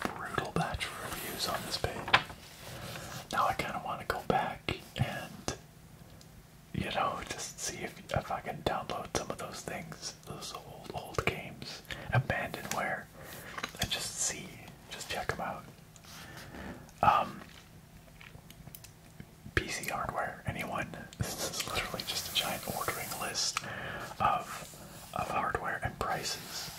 brutal batch of reviews on this page. Now I kind of want to go back and, you know, just see if if I can download some of those things, those old old games, abandonware, and just see, just check them out. Um, PC hardware, anyone? This is literally just a giant ordering list of of hardware and prices.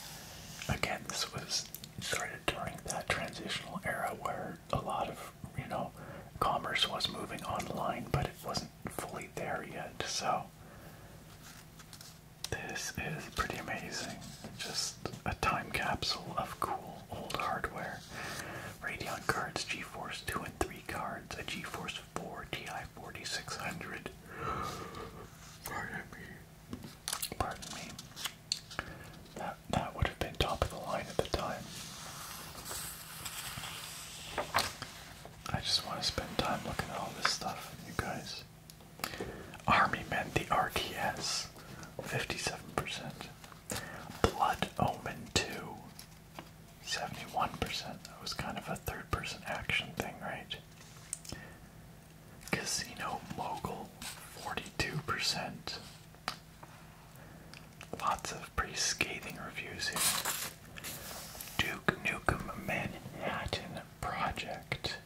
Again, this was started during that transitional era where a lot of, you know, commerce was moving online, but it wasn't fully there yet. So, this is pretty amazing. Just a time capsule of cool old hardware. Radeon cards, GeForce 2 and 3 cards, a GeForce 4 Ti 4600. I am Pardon me. That that would have been top of the line at the time. I just want to spend time looking at all this stuff, you guys. Army men, the RTS, 57%. Blood Omen 2, 71%. That was kind of a third person action thing, right? Casino Mogul, 42%. Lots of pretty scathing reviews here. Duke Nukem Manhattan Project.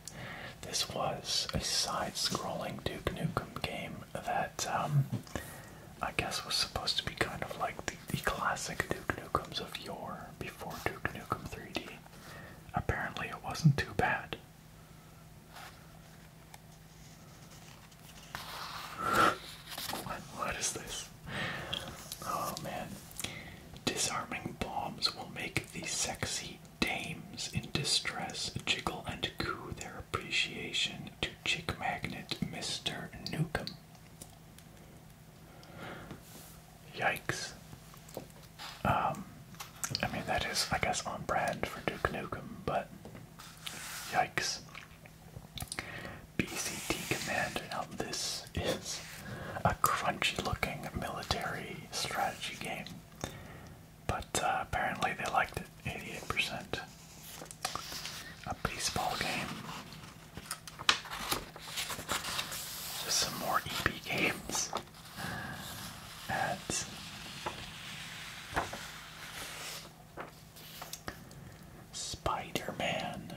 This was a side scrolling Duke Nukem game that um, I guess was supposed to be kind of like the, classic Duke Nukem of yore before Duke Nukem 3D. Apparently, it wasn't too bad. what is this? Oh man. Disarming bombs will make the sexy dames in distress jiggle and coo their appreciation to chick magnet Mr. Newcomb. Yikes. Um, I mean, that is, I guess, on brand for Duke Nukem, but yikes. BCT Commander. Now, this is a crunchy looking military strategy game, but uh, apparently they liked it 88%. A baseball game. Just some more EP games ads. Spider Man.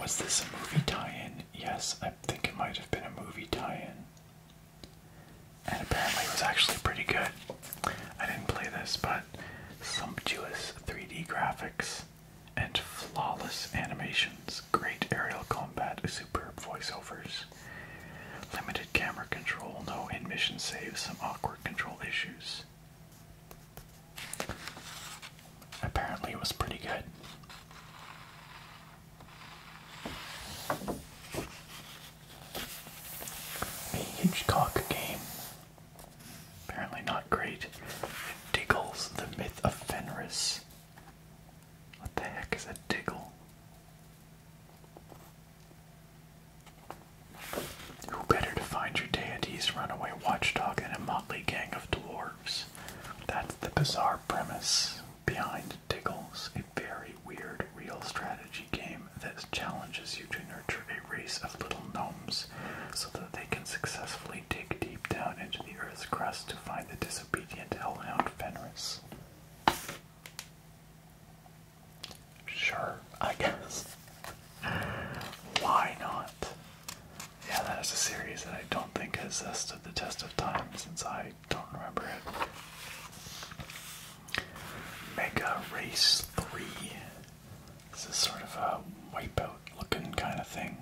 Was this a movie tie in? Yes, I think it might have been a movie tie in. And apparently it was actually pretty good. I didn't play this, but sumptuous 3D graphics and flawless animations great aerial combat, superb voiceovers, limited camera control, no in-mission saves, some awkward control issues. Apparently, it was pretty good. A Hitchcock game. Apparently, not great. Diggle's the myth of Fenris. What the heck is a diggle? Who better to find your deity's runaway watchdog than a motley gang of dwarves? That's the bizarre premise behind Diggles, a very weird real strategy game that challenges you to nurture a race of little gnomes so that they can successfully dig deep down into the earth's crust to find the dis disobedient hellhound Fenris. Sure, I guess. Why not? Yeah, that is a series that I don't think has stood the test of time since I don't remember it. Mega Race 3. This is sort of a wipeout looking kind of thing.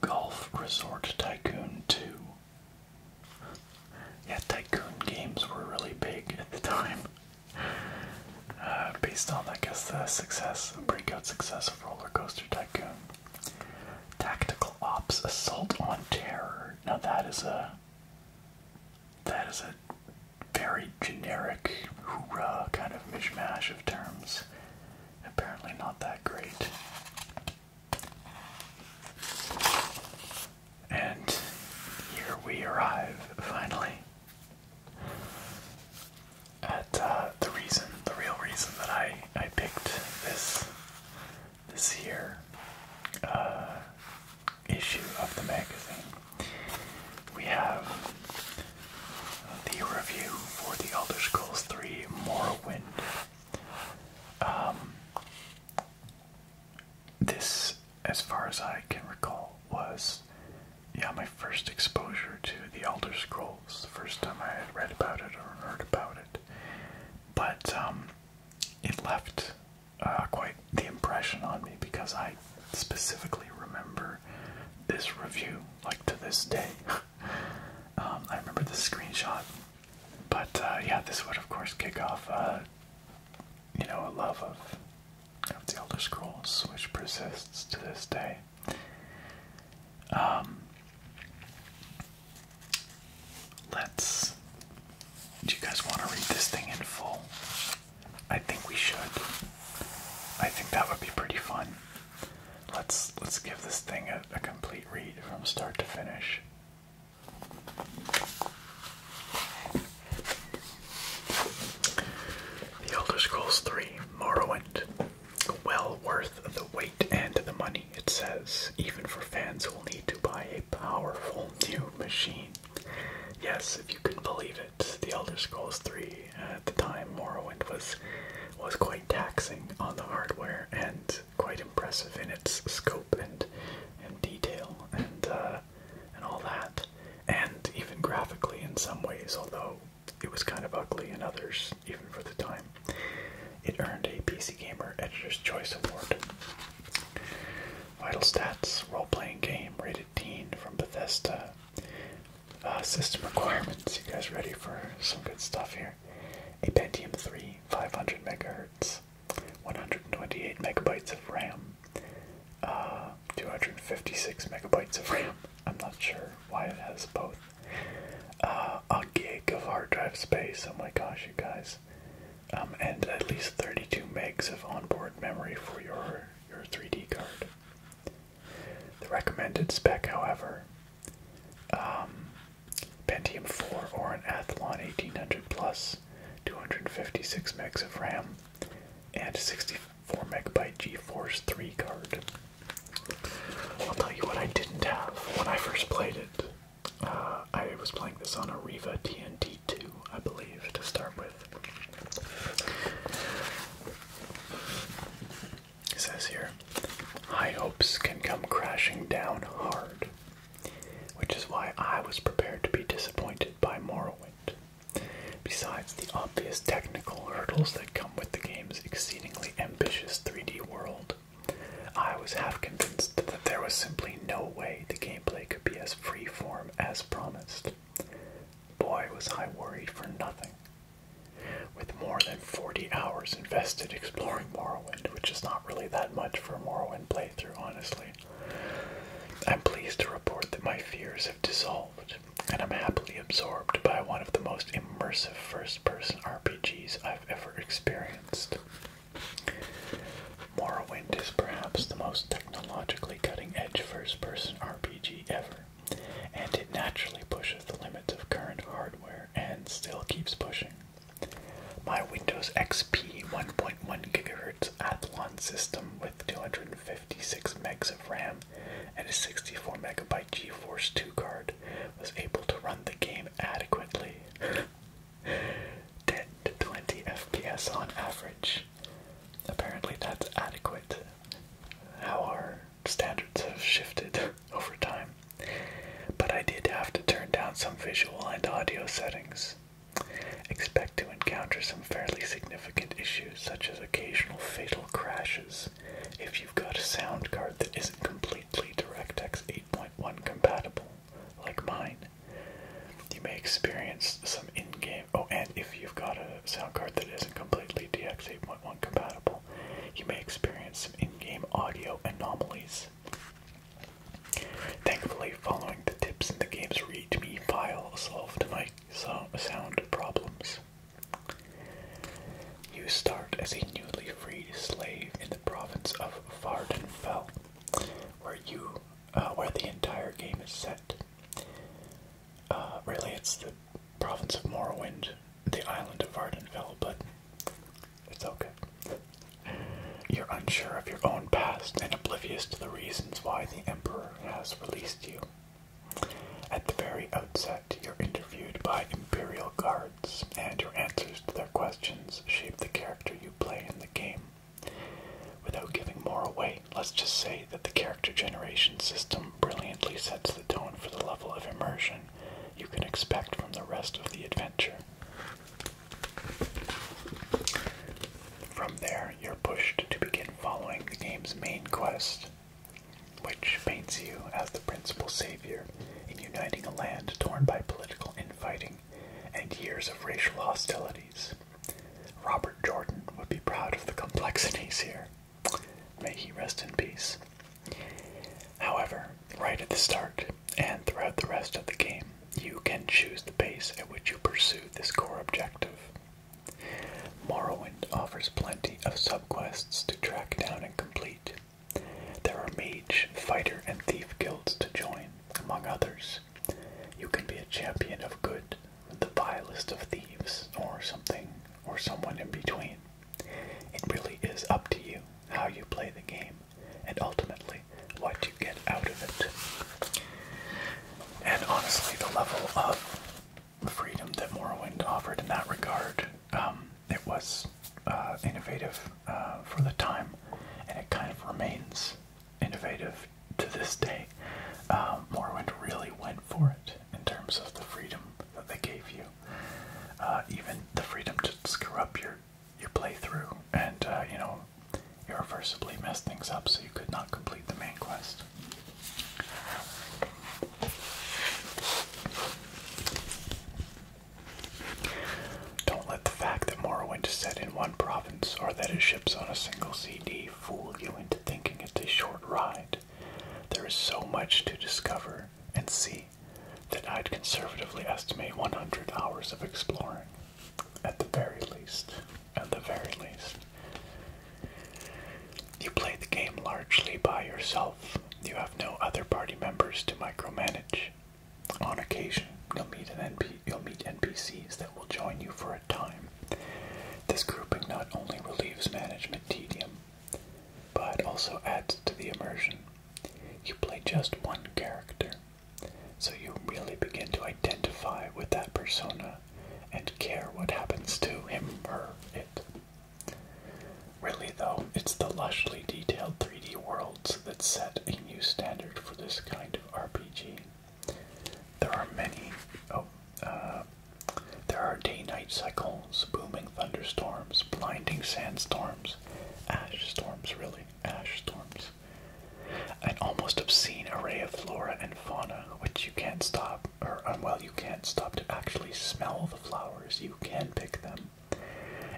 Golf Resort Tycoon 2. Yeah, tycoon games were really big at the time. Uh, based on, I guess, the success, breakout success of Roller Coaster Tycoon. Tactical Ops Assault on Terror. Now that is a that is a very generic hoorah kind of mishmash of terms. Apparently not that great. And here we arrive finally at uh, the reason, the real reason that I I picked this this year uh, issue of the magazine. We have the review for The Elder Scrolls 3 Morrowind um, this, as far as I can recall, was yeah my first exposure to the Elder Scrolls. The first time I had read about it or heard about it, but um, it left uh, quite the impression on me because I specifically remember this review like to this day. Um, I remember the screenshot but uh, yeah, this would of course kick off, uh, you know, a love of the Elder Scrolls, which persists to this day. Um, let's. Do you guys want to read this thing in full? I think we should. I think that would be pretty fun. Let's let's give this thing a complete read from start to finish. The Elder Scrolls 3 Morrowind. Well worth the wait and the money, it says, even for fans who will need to buy a powerful new machine. Yes, if you can believe it, The Elder Scrolls 3 at the time Morrowind was was quite taxing on the hardware and quite impressive in its scope and and detail and uh, and all that, and even graphically in some ways, although it was kind of ugly in others, even for the time. It earned a PC Gamer Editor's Choice Award. Vital Stats role-playing game rated teen from Bethesda. Uh, system requirements. You guys ready for some good stuff here? A Pentium 3 500 megahertz, 128 megabytes of RAM, uh, 256 megabytes of RAM. I'm not sure why it has both. Uh, a gig of hard drive space. Oh my gosh, you guys. Um, and at least 32 megs of onboard memory for your your 3D card. The recommended spec, however, um, Pentium 4 or an Athlon 1800 Plus, 256 megs of RAM, and 64 megabyte GeForce 3 card. I'll tell you what I didn't have when I first played it. Uh, I was playing this on a Riva TNT 2, I believe, to start with. It says here, high hopes can come crashing down hard which is why I was prepared to be disappointed by Morrowind. Besides the obvious technical hurdles that come with the game's exceedingly ambitious 3D world, I was half convinced that there was simply no way the gameplay could be as free form as promised. Boy, was I worried for nothing. With more than 40 hours invested exploring Morrowind, which is not really that much for a Morrowind playthrough, honestly. I'm pleased to report that my fears have dissolved, and I'm happily absorbed by one of the most immersive first person RPGs I've ever experienced. Morrowind is perhaps the most technologically cutting edge first person RPG ever, and it naturally pushes the limits of current hardware and still keeps pushing. My Windows XP 1.1 gigahertz Athlon system with 256 megs of RAM and a 64 megabyte GeForce 2 card was able to run the game adequately. 10 20 FPS on average. Apparently that's adequate. How our standards have shifted over time. But I did have to turn down some visual and audio settings. Expect to encounter some fairly significant issues, such as occasional fatal crashes, if you've got a sound card that isn't completely DirectX 8.1 compatible, like mine. You may experience some in-game. Oh, and if you've got a sound card that isn't completely DX 8.1 compatible, you may experience some in-game audio anomalies. Thankfully, following the tips in the game's readme file solved my sound problems. You start as a newly freed slave in the province of Vardenfell, where you, uh, where the entire game is set. Uh, really, it's the province of Morrowind, the island of Vardenfell, but it's okay. You're unsure of your own past and oblivious to the reasons why the Emperor has released you. At the very outset, you're interviewed by Imperial guards, and your answers to their questions shape the character you play in the game. Without giving more away, let's just say that the character generation system brilliantly sets the tone for the level of immersion you can expect from the rest of the adventure. From there, you're pushed to begin following the game's main quest, which paints you as the principal savior in uniting a land torn by political infighting and years of racial hostilities. Robert Jordan would be proud of the complexities here. May he rest in peace. However, right at the start, and throughout the rest of the game, you can choose the pace at which you pursue this core objective. Morrowind offers plenty of subquests to track down and complete. There are mage, fighter, and thief guilds to join, among others. You can be a champion of good, the vilest of thieves, or something, or someone in between. It really is up to you how you play the game and ultimately what you get out of it. And honestly, the level of freedom that Morrowind offered in that regard, um, it was uh, innovative uh, for the time, and it kind of remains innovative to this day. Um, Morrowind really went for it in terms of the freedom that they gave you. Uh, even the freedom to screw up your you play through, and uh, you know, irreversibly mess things up, so you could not complete the main quest. Don't let the fact that Morrowind is set in one province or that it ships on a single CD fool you into thinking it's a short ride. There is so much to discover and see that I'd conservatively estimate 100 hours of exploring. At the very least. At the very least. You play the game largely by yourself. You have no other party members to micromanage. On occasion, you'll meet an NP you'll meet NPCs that will join you for a time. This grouping not only relieves management tedium, but also adds to the immersion. You play just one character, so you really begin to identify with that persona and care what happens to him, or it. Really, though, it's the lushly detailed 3D worlds that set a new standard for this kind of RPG. There are many. Oh, uh, there are day-night cycles, booming thunderstorms, blinding sandstorms, ash storms, really, ash storms. An almost obscene array of flora and fauna, which you can't stop, or um, well, you can't stop to actually smell the flowers, you can pick them,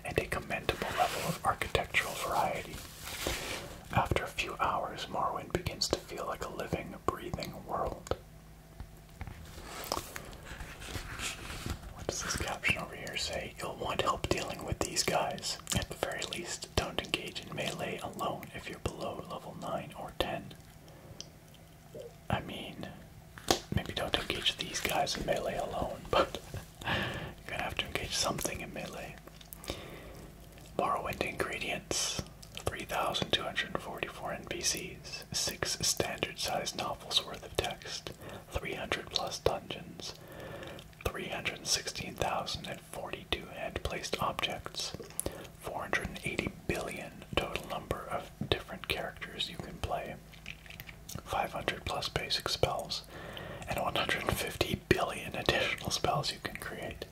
and a commendable level of architectural variety. After a few hours, Morrowind begins to feel like a living, breathing world. What does this caption over here say? You'll want help dealing with these guys at the very least, don't engage in melee alone if you're below level 9 or 10. I mean, maybe don't engage these guys in melee alone, but you're gonna have to engage something in melee. Morrowind ingredients 3,244 NPCs, 6 standard sized novels worth of text, 300 plus dungeons, 316,042 hand placed objects, 480 billion total number of different characters you can play, 500 plus basic spells, and 150 billion additional spells you can create.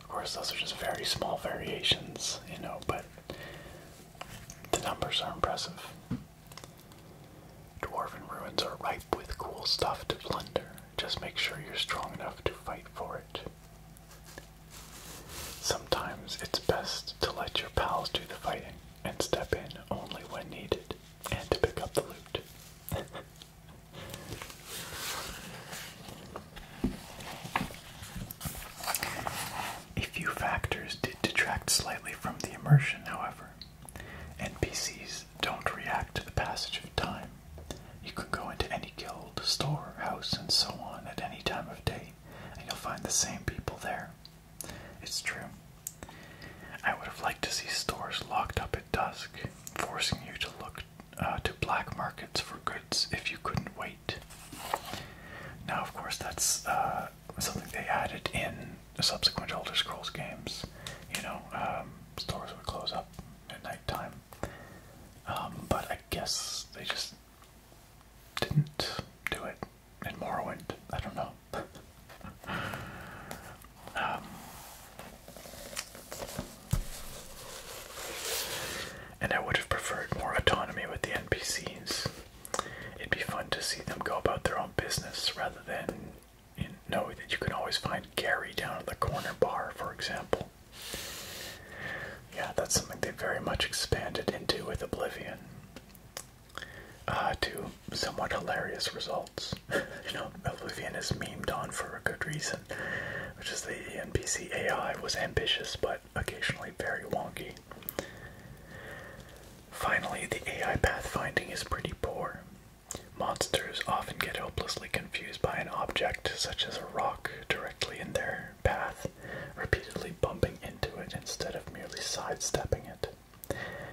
Of course, those are just very small variations, you know, but the numbers are impressive. Dwarven ruins are ripe with cool stuff to plunder. Just make sure you're strong enough to fight for it. Sometimes it's best to let your pals do the fighting and step in only when needed and to pick up the loot. A few factors did detract slightly from the immersion, however. NPCs don't react to the passage of time. You can go into any guild, store, house, and so on at any time of day, and you'll find the same people there. It's true. I would have liked to see stores locked up at dusk, forcing you to look uh, to black markets for goods if you couldn't wait. Now, of course, that's uh, something they added in subsequent Elder Scrolls games, you know, um, stores would close up at nighttime. Um, but I guess they just didn't do it in Morrowind. I don't know. Um, and I would have preferred more autonomy with the NPCs. It'd be fun to see them go about their own business rather than know that you can always find Gary down at the corner bar, for example. Yeah, that's something they very much expanded into with Oblivion. Uh, to somewhat hilarious results. you know, Oblivion is memed on for a good reason, which is the NPC AI was ambitious but occasionally very wonky. Finally, the AI pathfinding is pretty poor. Monsters often get hopelessly confused by an object, such as a rock, directly in their path, repeatedly bumping into it instead of merely sidestepping it.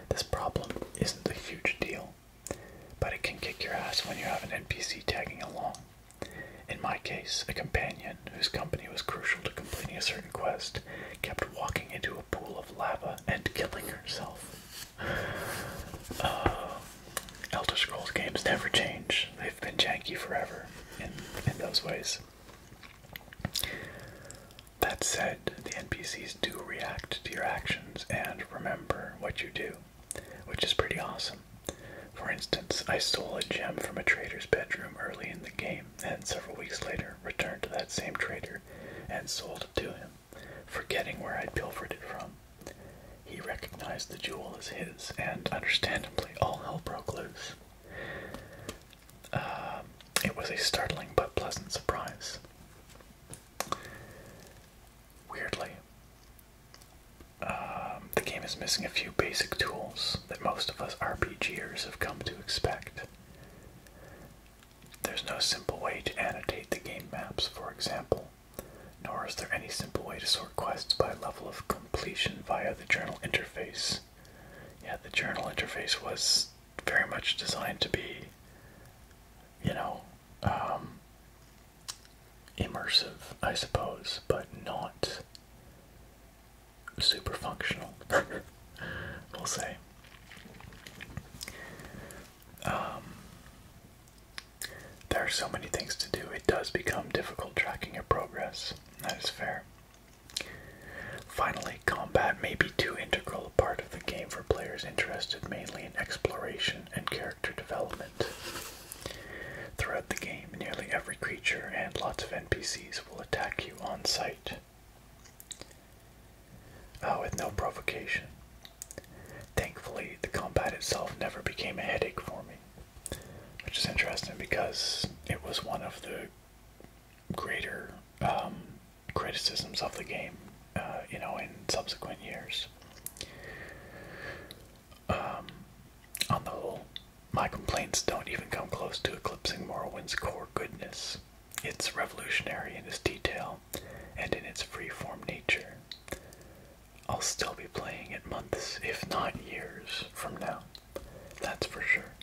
This problem isn't a huge deal, but it can kick your ass when you have an NPC tagging along. In my case, a companion, whose company was crucial to completing a certain quest, kept walking into a pool of lava and killing herself. Uh, Elder Scrolls games never change. They've been janky forever in those ways. That said, the NPCs do react to your actions and remember what you do, which is pretty awesome. For instance, I stole a gem from a trader's bedroom early in the game, and several weeks later returned to that same trader and sold it to him forgetting where I'd pilfered it from. He recognized the jewel as his, and understandably, all hell broke loose. Uh, it was a startling but pleasant surprise. Weirdly, um, the game is missing a few basic tools that most of us RPGers have come to expect. There's no simple way to annotate the game maps, for example, nor is there any simple way to sort quests by level of completion via the journal interface. Yeah, the journal interface was very much designed to be, you know, um, immersive, I suppose, but not super functional, we'll say. Um, there are so many things to do, it does become difficult tracking your progress. That is fair. Finally, combat may be too integral a part of the game for players interested mainly in exploration and character development. Throughout the game, nearly every creature and lots of NPCs will attack you on sight. Uh, oh, with no provocation. Thankfully, the combat itself never became a headache for me, which is interesting because it was one of the greater um, criticisms of the game, uh, you know, in subsequent years. Um, on the whole, my complaints don't even come close to eclipsing Morrowind's core goodness. It's revolutionary in its detail and in its free-form nature, I'll still be playing it months, if not years, from now. That's for sure.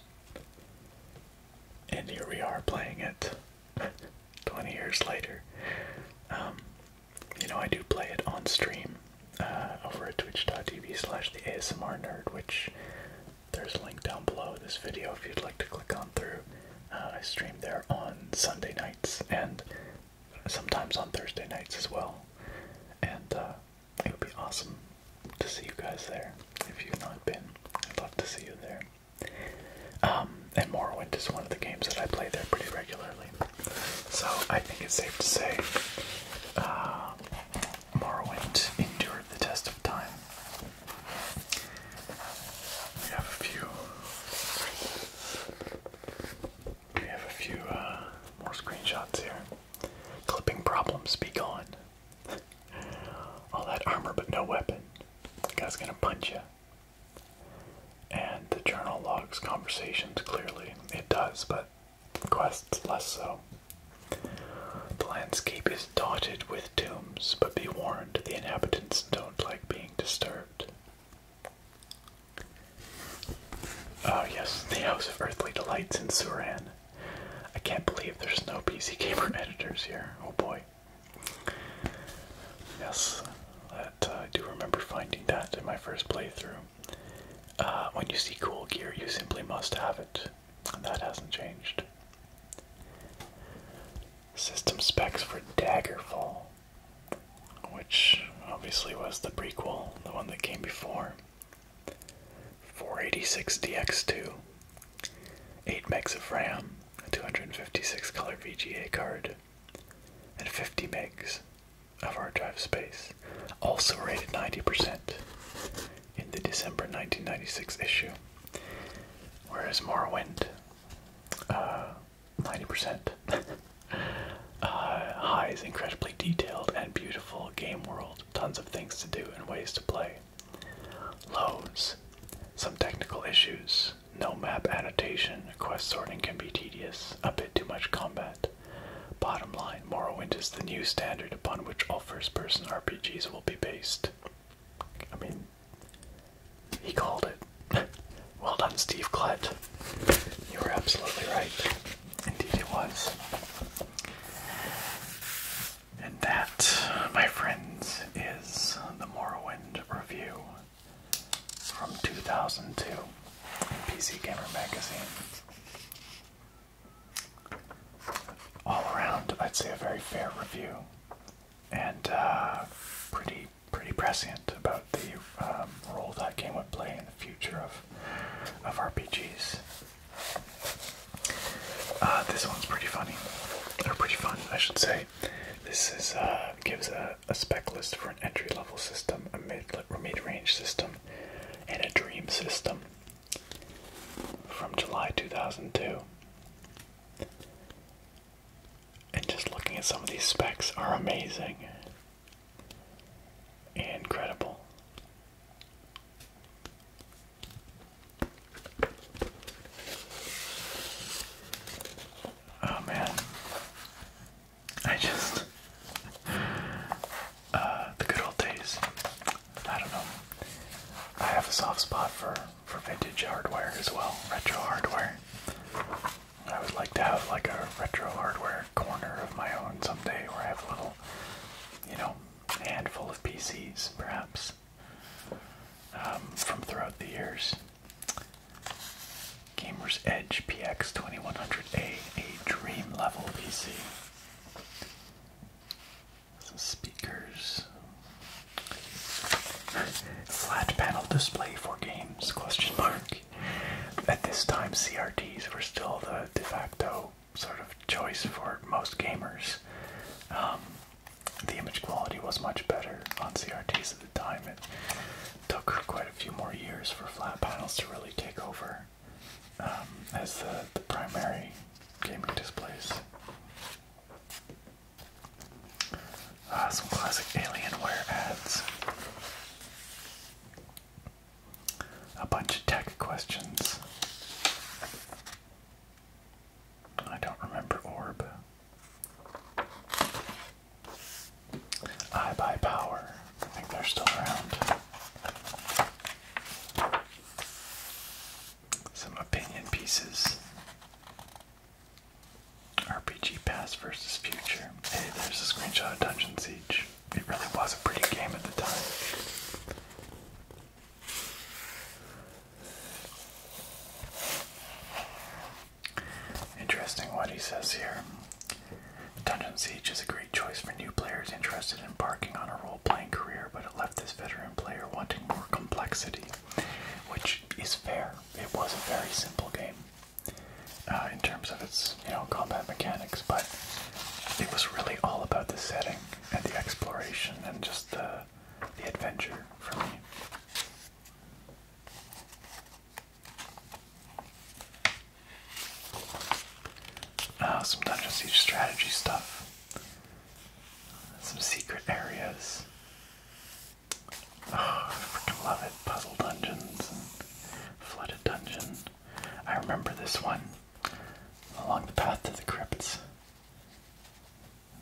And here we are playing it 20 years later. Um, you know, I do play it on stream uh, over at twitch.tv slash the ASMR nerd, which there's a link down below this video if you'd like to click on through. Uh, I stream there on Sunday nights, and sometimes on Thursday nights as well. And uh, it would be awesome to see you guys there if you've not been. I'd love to see you there. Um, and Morrowind is one of the games that I play there pretty regularly. So I think it's safe to say uh, Morrowind endured the test of time. We have a few we have a few uh, more screenshots here. Clipping problems be gone. All that armor but no weapon. The guy's gonna punch you. And the journal logs conversations clearly. It does, but quests less so. The landscape is dotted with tombs, but be warned the inhabitants don't like being disturbed. Oh yes, the House of Earthly Delights in Suran. I can't believe there's no PC Gamer editors here. Oh boy. Yes, uh, I do remember finding that in my first playthrough. Uh, when you see cool gear, you simply must have it. And that hasn't changed. System specs for Daggerfall which obviously was the prequel, the one that came before. 486DX2, 8 megs of RAM, a 256 color VGA card, and 50 megs of hard drive space, also rated 90% in the December 1996 issue. Whereas Morrowind uh, 90%. uh, High's incredibly detailed and beautiful game world, tons of things to do and ways to play. Lows, some technical issues, no map annotation, quest sorting can be tedious, a bit too much combat. Bottom line, Morrowind is the new standard upon which all first person RPGs will be based. I mean, he called it. well done, Steve Klett. You were absolutely right. Indeed, it was. And that, my friends, is the Morrowind review from 2002 in PC Gamer Magazine. All around, I'd say a very fair review and uh, pretty pretty prescient about the um, role that game would play in the future of of RPGs. Uh, this one's pretty funny, They're pretty fun, I should say. This is uh, gives a, a spec list for an entry level system, a mid mid range system, and a dream system from July 2002. And just looking at some of these specs are amazing. Incredible. Oh man. I just uh, the good old days. I don't know. I have a soft spot for for vintage hardware as well, retro hardware. I would like to have like a retro hardware corner of my own someday where I have a little, you know, handful of PCs perhaps um, from throughout the years. Gamer's Edge PX 2100A, a dream level PC. Some speakers. Flat panel display for games? Question mark. At this time, CRTs were still the de facto sort of choice for most gamers. Um, the image quality was much better on CRTs at the time. It took quite a few more years for flat panels to really take over um, as the, primary gaming displays. Uh, some classic Alienware ads a bunch of tech questions. I don't remember orb. I buy power. I think they're still around. Some opinion pieces. RPG Past versus Future. Hey, there's a screenshot of Dungeon Siege. It really was a pretty game at the time. Interesting what he says here. Dungeon Siege is a great choice for new players interested in embarking on a role playing career, but it left this veteran player wanting more complexity, which is fair. It was a very simple game. Uh, in terms of its you know combat mechanics, but it was really all about the setting and the exploration and just the the adventure for me. Uh, some Dungeon Siege strategy stuff. Some secret areas. Oh, I freaking love it. Puzzle dungeons Flooded Dungeon. I remember this one along the path to the crypts.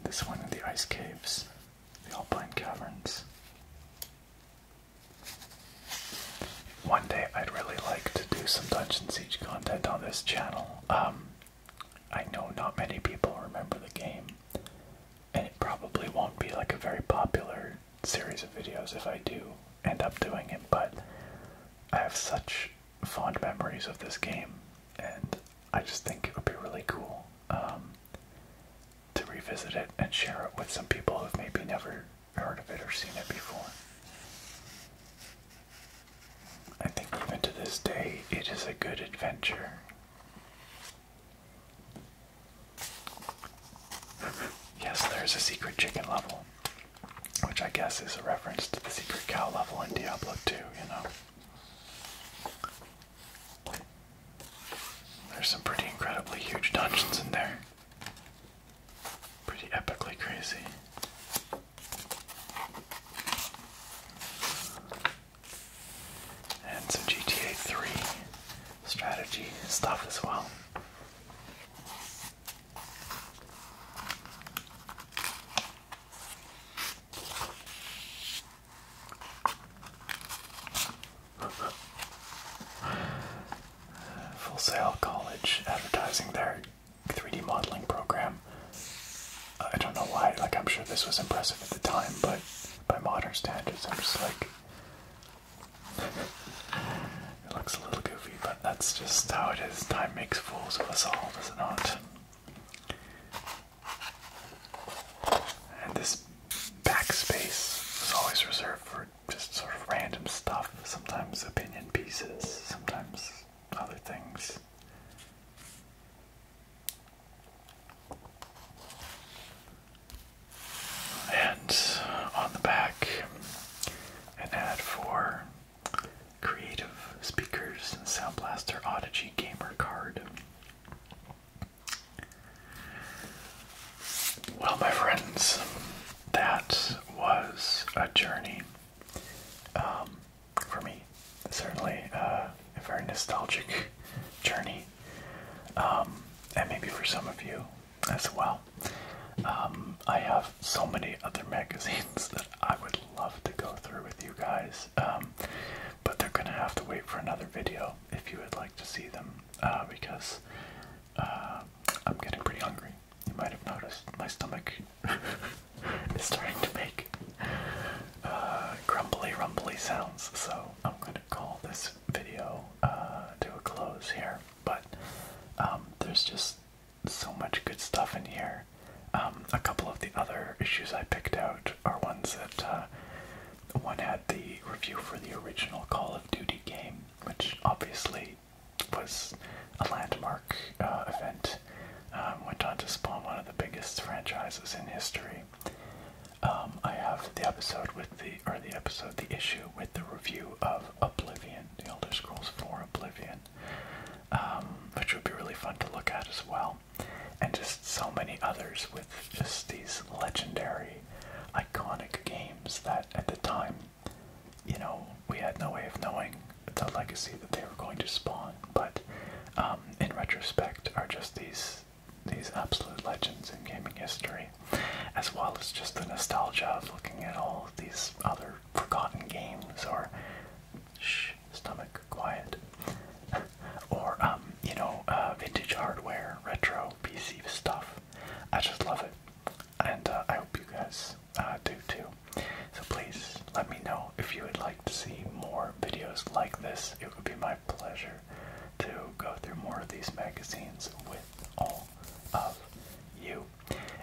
This one in the ice caves, the Alpine Caverns. One day I'd really like to do some Dungeon Siege content on this channel. Um, I know not many people remember the game, and it probably won't be like a very popular series of videos if I do end up doing it, but I have such fond memories of this game, and I just think it would be really cool um, to revisit it and share it with some people who've maybe never heard of it or seen it before. I think even to this day, it is a good adventure. Yes, there's a secret chicken level, which I guess is a reference to the secret cow level in Diablo 2, you know. There's some pretty incredibly huge dungeons in there. Pretty epically crazy. And some GTA 3 strategy stuff as well. Full Sail College advertising their 3D modeling program. I don't know why, like, I'm sure this was impressive at the time, but by modern standards, I'm just like, it looks a little goofy, but that's just how it is. Time makes fools of us all, does it not? And this backspace is always reserved for just sort of random stuff, sometimes opinion pieces, sometimes other things and on the back an ad for creative speakers and sound blaster Audigy gamer card. Well, my friends, that was a journey um, for me. Certainly uh, a very nostalgic journey. Um, and maybe for some of you, as well. Um, I have so many other magazines that I would love to go through with you guys, um, but they're gonna have to wait for another video if you would like to see them uh, because uh, I'm getting pretty hungry. You might have noticed my stomach is starting to make uh, grumbly, rumbly sounds, so I'm gonna call this video uh, to a close here but um, there's just so much good stuff in here. Um, a couple of the other issues I picked out are ones that uh, one had the review for the original Call of Duty game, which obviously was a landmark uh, event. Um, went on to spawn one of the biggest franchises in history. I have the episode with the or the episode, the issue with the review of Oblivion, The Elder Scrolls for Oblivion, um, which would be really fun to look at as well, and just so many others with just these legendary, iconic games that at the time, you know, we had no way of knowing the legacy that they were going to spawn, but um, in retrospect, are just these these absolute legends in gaming history as well as just the nostalgia of looking at all these other forgotten games or shh, stomach quiet, or um, you know, uh, vintage hardware, retro PC stuff. I just love it, and uh, I hope you guys uh, do too. So please let me know if you would like to see more videos like this. It would be my pleasure to go through more of these magazines with all of you.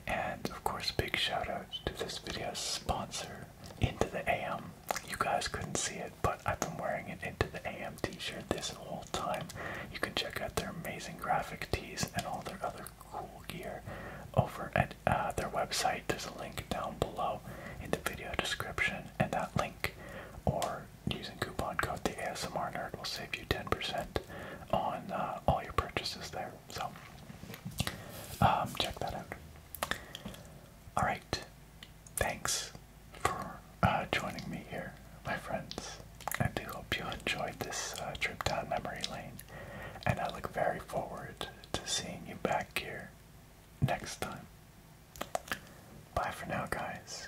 And of course, big shout out to this video's sponsor, Into the AM. You guys couldn't see it, but I've been wearing an Into the AM t shirt this whole time. You can check out their amazing graphic tees and all their other cool gear over at uh, their website. There's a link down below in the video description, and that link or using coupon code the ASMR nerd will save you 10% on uh, all your purchases there. So um, check that out. All right. Thanks for uh, joining me here, my friends. I do hope you enjoyed this uh, trip down memory lane, and I look very forward to seeing you back here next time. Bye for now, guys.